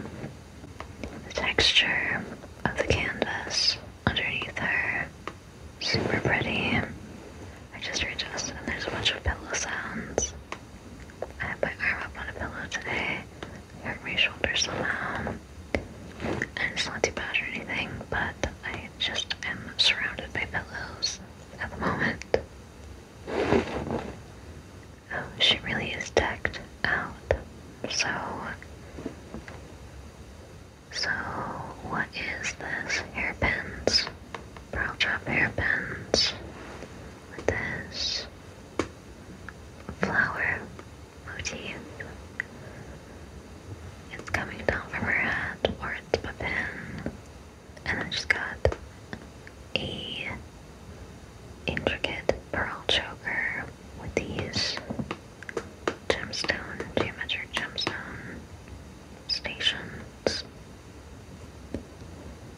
the texture of the canvas underneath her. Super pretty. I just readjusted and there's a bunch of pillow sounds. I have my arm up on a pillow today. It hurt my shoulder somehow. And it's not too bad or anything, but I just am surrounded by pillows at the moment she really is decked out. So, so what is this? Hairpins, brow drop hairpins. With this flower motif, it's coming down from her head, or it's pin, and then she's got a intricate pearl choker with these gemstone, geometric gemstone stations.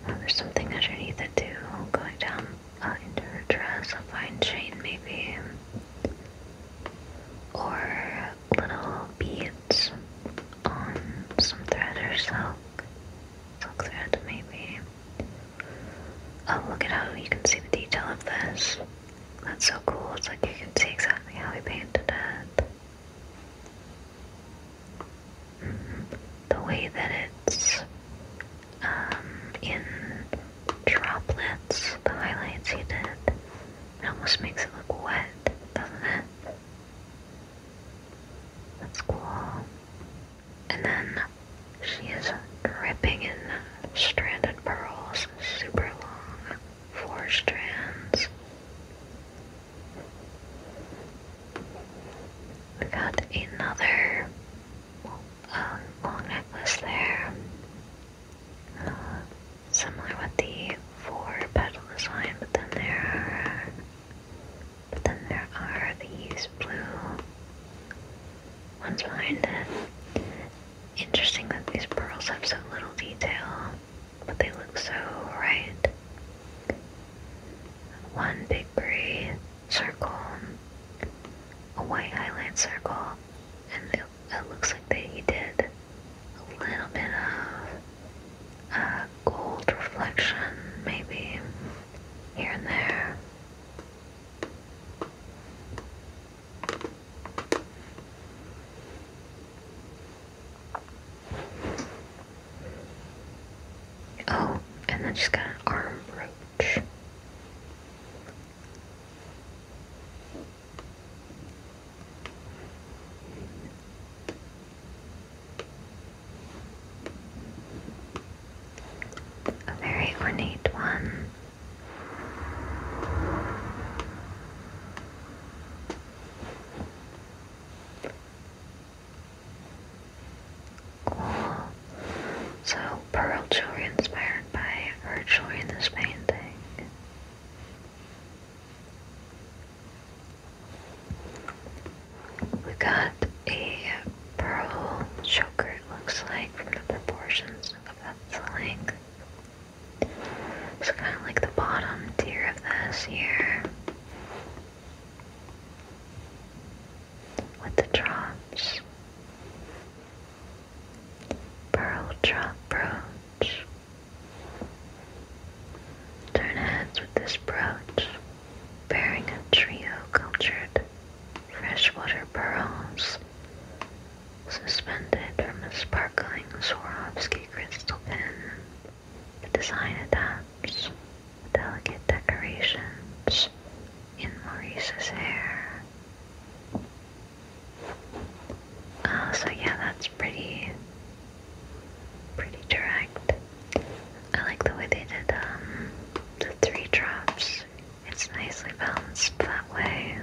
there's something underneath it too, going down uh, into her dress, a fine chain maybe. Or little beads on some thread or silk. Silk thread maybe. Oh, look at how you can see the detail of this. That's so cool. It's like you can see exactly how he painted it. Mm-hmm. The way that it's um, in droplets, the highlights he did, it almost makes it look wet, doesn't it? That's cool. And then she is dripping in stranded pearls, super long, four strands. We got another uh, long necklace there, similar with the four petal design, but then there but then there are these blue ones behind it. Interesting that these pearls have so little detail, but they look so right. One big gray circle, a white highlight circle, and it, looks like they did a little bit of a uh, gold reflection, maybe here and there. Oh, and then she's got an arm brooch a very ornate one. Cool. So pearl jewelry inspired by her jewelry in this painting. We got a pearl choker it looks like from the proportions of its length. It's kind of like the bottom tier of this here. With the drops. Pearl drop brooch. Turn heads with this brooch, bearing a trio cultured freshwater pearls suspended from a sparkling Swarovski crystal pin. The design adapts delicate decorations in Maurice's hair. Oh, so yeah, that's pretty, pretty direct. I like the way they did um, the three drops it's nicely balanced that way.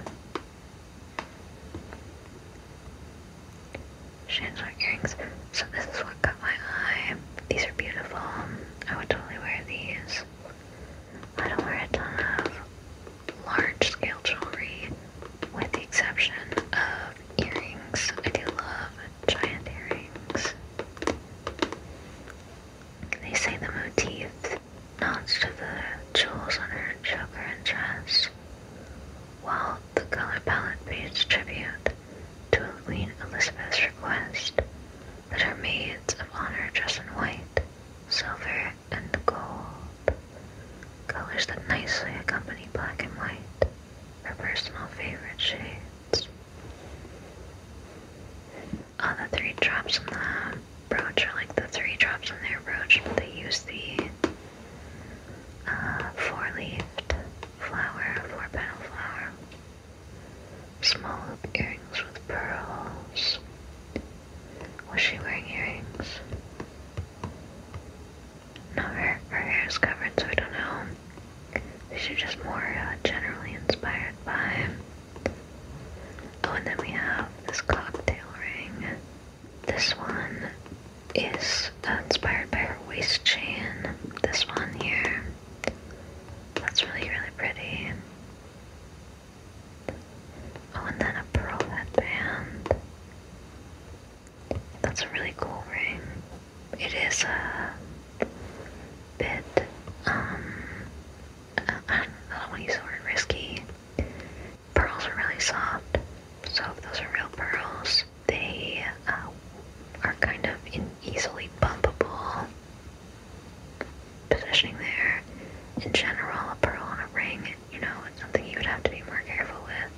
Chandelier earrings. So this is what caught my eye. These are beautiful. I would totally wear these. I don't wear a ton of large scale jewelry with the exception of earrings. I do love giant earrings. They say the motif nods to the jewels on her choker and dress, while the color palette pays tribute to Queen Elizabeth's request that her maids of honor dress in white, silver, and gold, colors that nicely accompany black and white, her personal favorite shades. All the three drops on the brooch are like the three drops on their brooch, but they use the uh, four-leaved flower, four-petal flower. Small hoop earrings with pearls. Was she wearing earrings? No, her, her hair is covered, so I don't know. These are just more uh, generally inspired by Oh, and then we have this cocktail ring. This one is uh, inspired by her waist chain. This one here. That's really, really pretty. Oh, and then a pearl headband. That's a really cool ring. It is a bit um I don't know, when you sort of risky. Pearls are really soft, so if those are real pearls, they uh, are kind of in easily bumpable positioning there. In general, a pearl on a ring, you know, it's something you would have to be more careful with.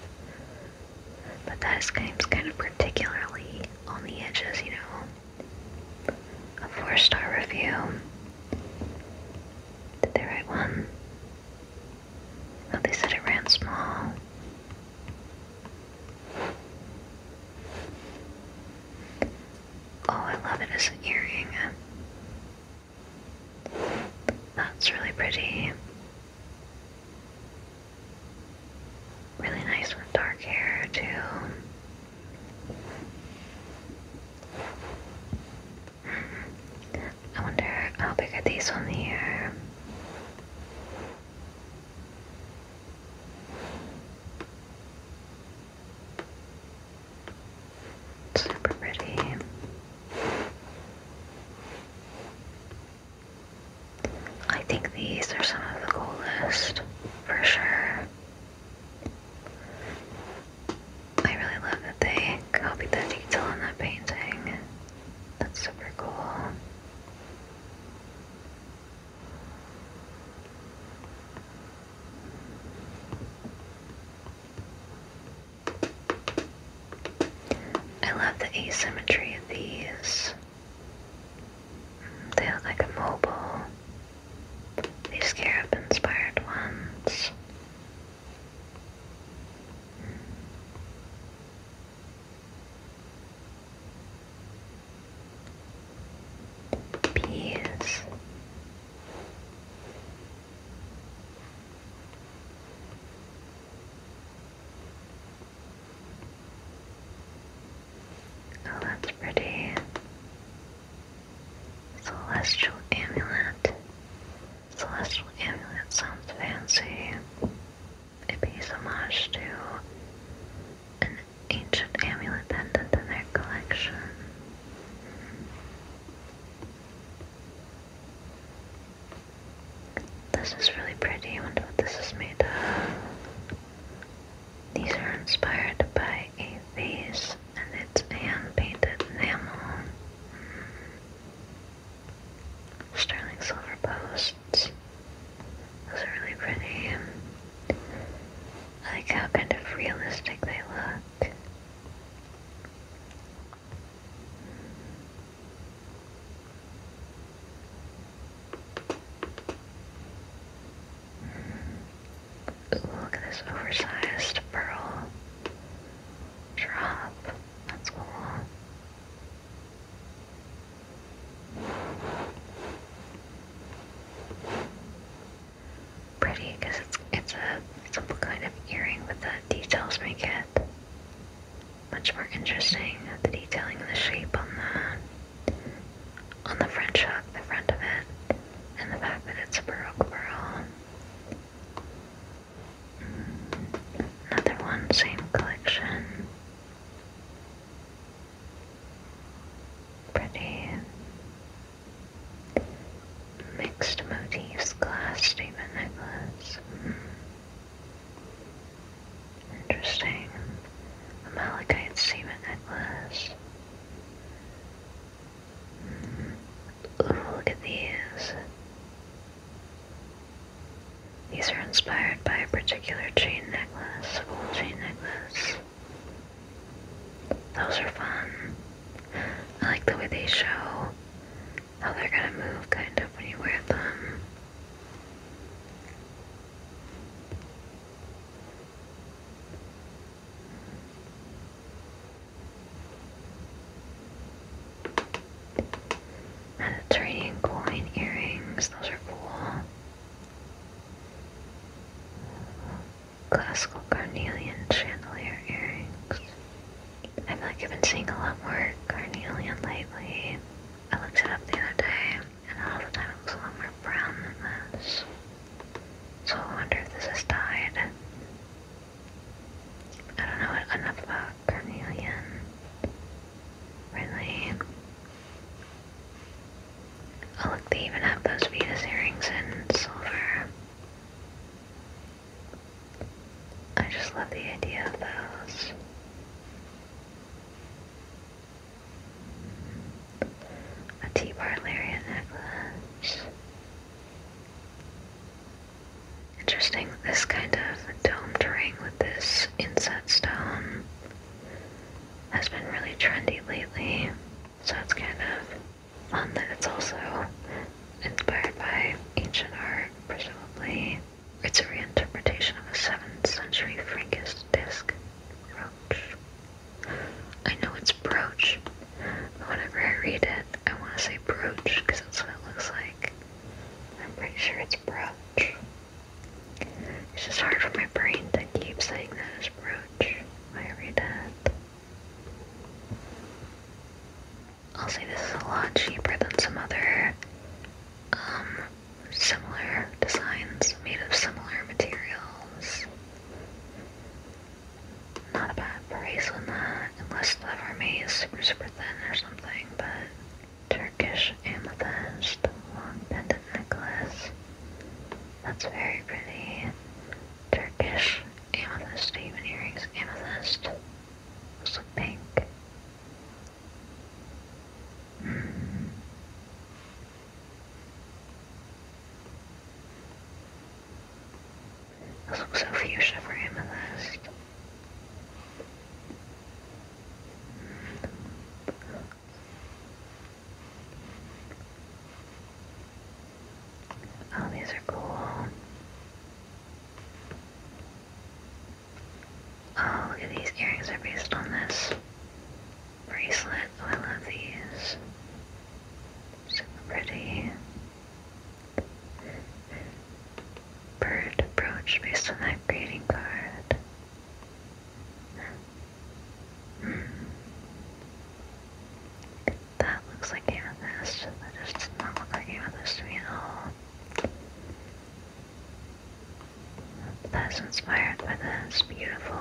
But that is kind kind of particularly on the edges, you know a four star review. Did they write one? Oh, they said it ran small. Oh, I love it as an earring. That's really pretty. Really nice with dark hair, too. I wonder how big these on here? Super pretty. I think these are some of the coolest for sure. I really love that they copied that detail on that painting. That's super cool. I love the asymmetry of these. They look like a mobile these scarab inspired ones. Bees. Oh, that's pretty. Celestial amulet. Celestial amulet sounds fancy. It pays homage to an ancient amulet pendant in their collection. This is really pretty. I wonder what this is made of. These are inspired by a vase and its hand-painted enamel. Sterling silver posts. Those are really pretty. like how kind of realistic they look. Look at this oversized pearl drop. That's cool. Pretty because it's it's a kind of earring, but the details make it much more interesting. The detailing the shape on the on the French hook, the front of it, and the fact that it's a Baroque Barrel. Mm, another one, same collection. Pretty mixed motifs, glass statement necklace. Mm. Interesting. malachite statement necklace. Look at these. These are inspired by a particular chain necklace, full chain necklace. Those are fun. I like the way they show how they're gonna move kind of when you wear them. Mediterranean coin earrings, those are cool. Classical carnelian chandelier earrings. I feel like I've been seeing a lot more carnelian lately. I looked it up the other day, and all the time it was a lot more brown than this. So I wonder if this has died. I don't know enough about Carnelian. Really. Oh look, they even have those Venus earrings in silver. I just love the idea of those a T bar lariat necklace. Interesting, this kind of domed ring with this inset stone has been really trendy lately. So it's kind of fun that it's also inspired by ancient art, presumably. It's a reinterpretation of a 7th century Frankish disc brooch I know it's brooch. But whenever I read it, I want to say brooch because that's what it looks like. I'm pretty sure it's brooch. It's just hard for my brain to keep saying that as brooch I read it. I'll say this is a lot cheaper than some other um, similar designs made of similar materials not a bad price on that, unless the vermeil is super, super thin or something, but Turkish amethyst, pendant necklace. That's very pretty. Turkish amethyst, earrings, amethyst. Also pink. Hmm. This looks so fuchsia for amethyst. Oh, these are cool. Oh, look at these earrings are based on this bracelet. Oh, I love these. So pretty. Bird approach based on that greeting card. Hmm. That looks like amethyst. That just does not look like amethyst to me at all. That's inspired by this beautiful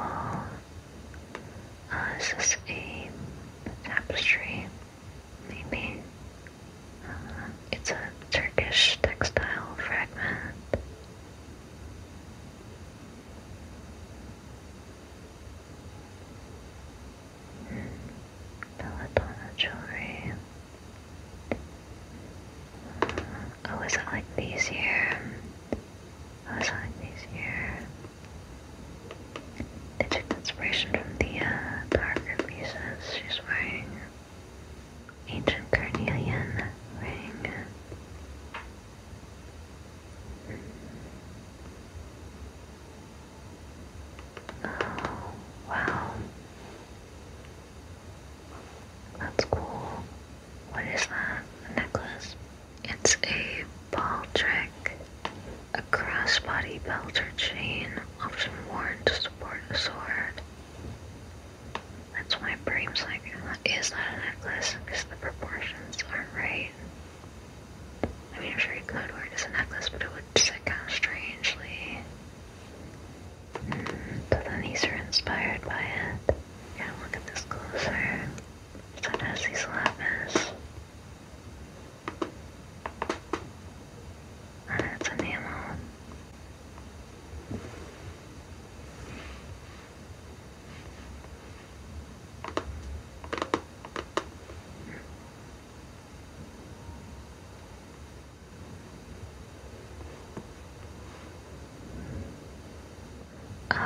uh, is this a tapestry? Maybe. Uh, it's a Turkish textile fragment. Hmm. jewelry. Uh, oh, is it like these here? Oh, is it like these here? They took inspiration from the uh, pieces. She's wearing ancient carnelian ring. Oh, wow. That's cool. What is that? necklace? It's a ball trick, a crossbody belt or chain, often worn to support a sword. That's why Bream's like, is not a necklace, because the proportions aren't right. I mean, I'm sure you could wear it as a necklace, but it would sit kind strangely. Mm, these are inspired by it. Yeah, look at this closer. So it has these lapis that's a the alarm.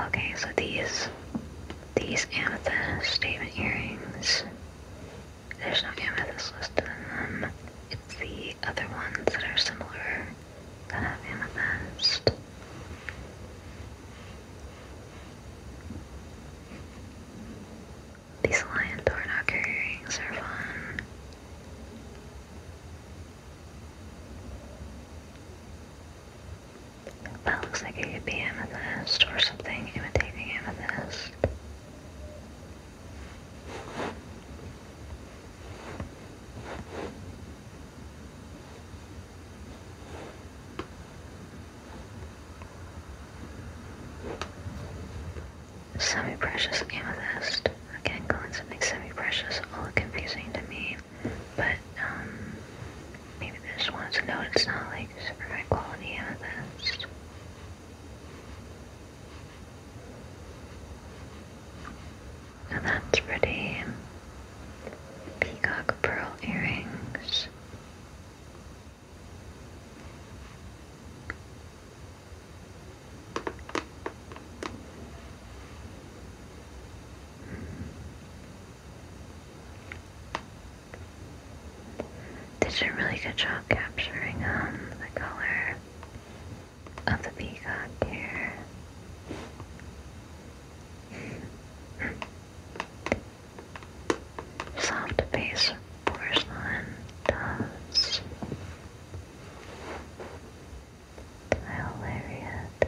Okay, so these these amethyst statement earrings. There's no amethyst listed in them. It's the other ones that are similar that have amethyst. These lion door knocker earrings are fun. That looks like it could be amethyst or something imitating amethyst. Semi-precious amethyst. Again, calling something semi-precious all confusing to me, but um, Maybe this one's no, it's not like super high quality amethyst. And that's pretty. Peacock pearl earrings. Did a really good job capturing um, the color of the peacock here. Soft base porcelain does. Tile lariat.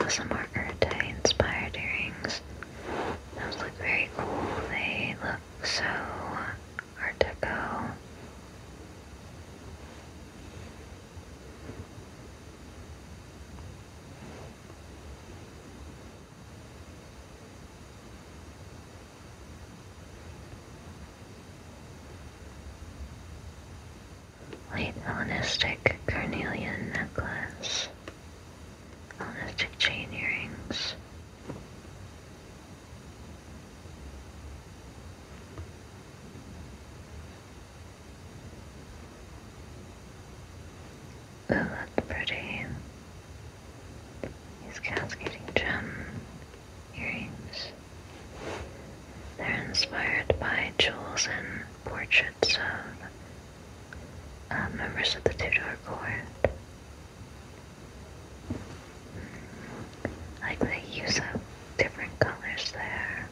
ASMR Urtai inspired earrings. Those look very cool. They look so art deco. Late Hellenistic carnelian necklace. Hellenistic chain earrings. Ooh, that's pretty. These cats getting gem earrings. They're inspired by jewels and portraits of uh, members of the Tudor court. Mm, like they use up different colors there.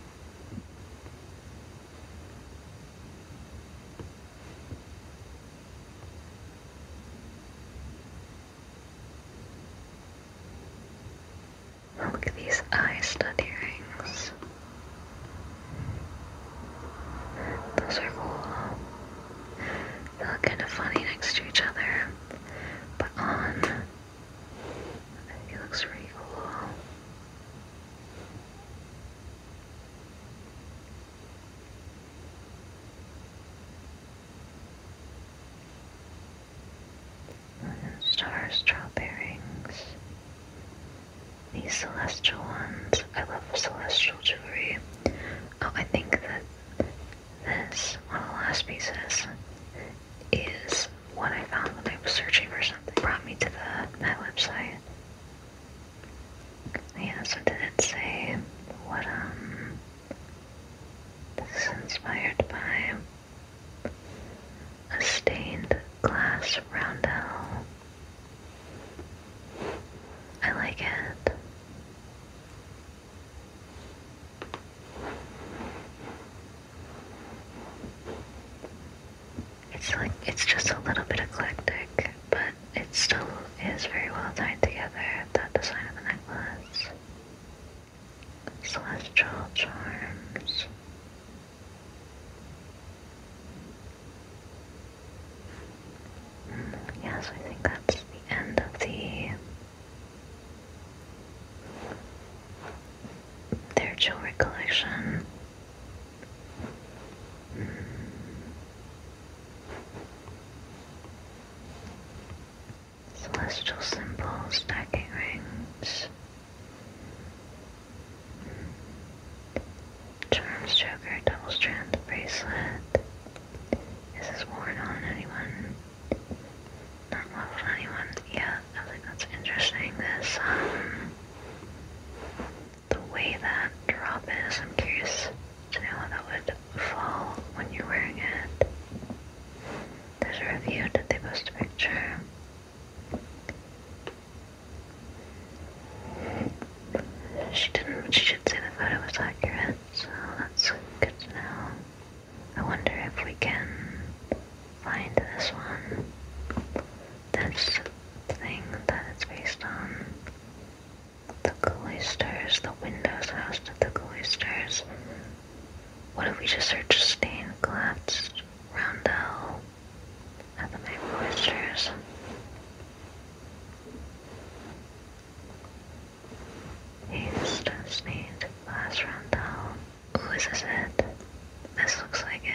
Look at these eye stud earrings. Those are cool. They look kind of funny next to each other, but on, it looks really cool. Stars earrings. These celestial ones. I love celestial jewelry. Oh, I think that this, one of the last pieces, is what I found when I was searching for something. brought me to the my website. Yeah, so did it say what um, this is inspired by a stained glass roundel. I like it. It's like it's just a little bit eclectic, but it still is very well tied together, that design of the necklace. Celestial charms. Mm, yes, I think that's the end of the their jewelry collection. Mm. Celestial symbols, stacking rings. Charms choker, double strand bracelet. Is this worn on anyone? Not on anyone? Yeah, I think that's interesting. This, um, the way that drop is, I'm curious to know how that would fall when you're wearing it. There's a review, that they posted a picture? She didn't, she did say the photo was accurate, so that's good to know. I wonder if we can find this one. That's the thing that it's based on. The cloisters, the windows housed at the cloisters. What if we just search stained glass roundel at the main cloisters? Haste, stained glass roundel. Ooh, this it? This looks like it.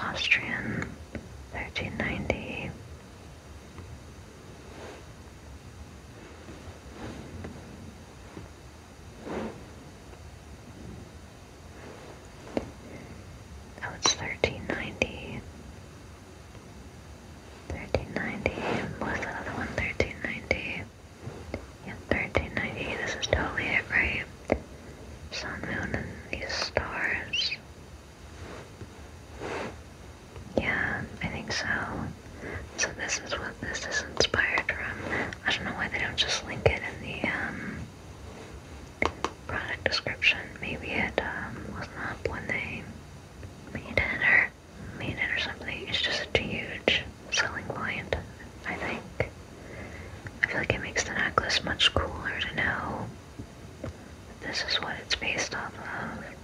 Austrian, 1390. Oh, it's thirteen ninety. Thirteen ninety. What's the one? Thirteen ninety. Yeah, thirteen ninety. This is totally it, right? Sun, moon, and these stars. Yeah, I think so. So this is what this is inspired from. I don't know why they don't just link it in the um, product description. Maybe it um, wasn't up when they made it or made it or something. It's just a huge selling point, I think. I feel like it makes the necklace much cooler to know this is what it's based off of.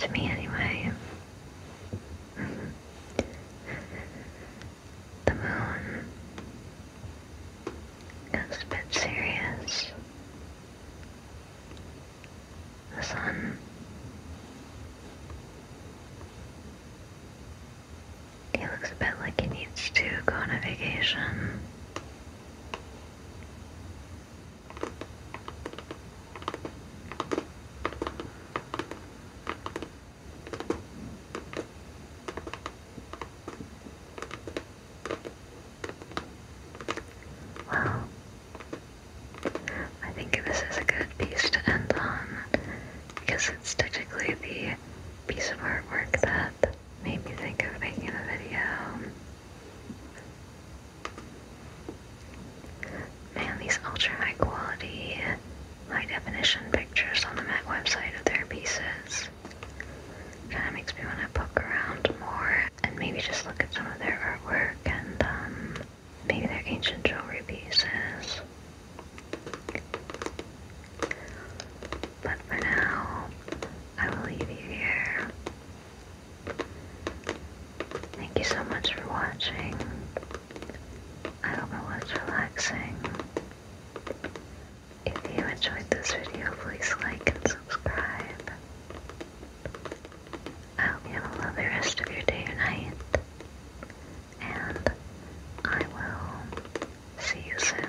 To me, anyway. Mm-hmm. the moon is a bit serious. The sun he looks a bit like he needs to go on a vacation. Well, I think this is a good piece to end on because it's technically the piece of artwork that made me think of making a video. Man, these ultra high quality, high definition pictures on the Mac website of their pieces kind of makes me want to poke around more and maybe just look at some of their artwork and um, maybe their ancient jewelry pieces. But for now, I will leave you here. Thank you so much for watching. I hope it was relaxing. If you enjoyed this video, please like and subscribe. I hope you have a lovely rest of your day or night. And I will see you soon.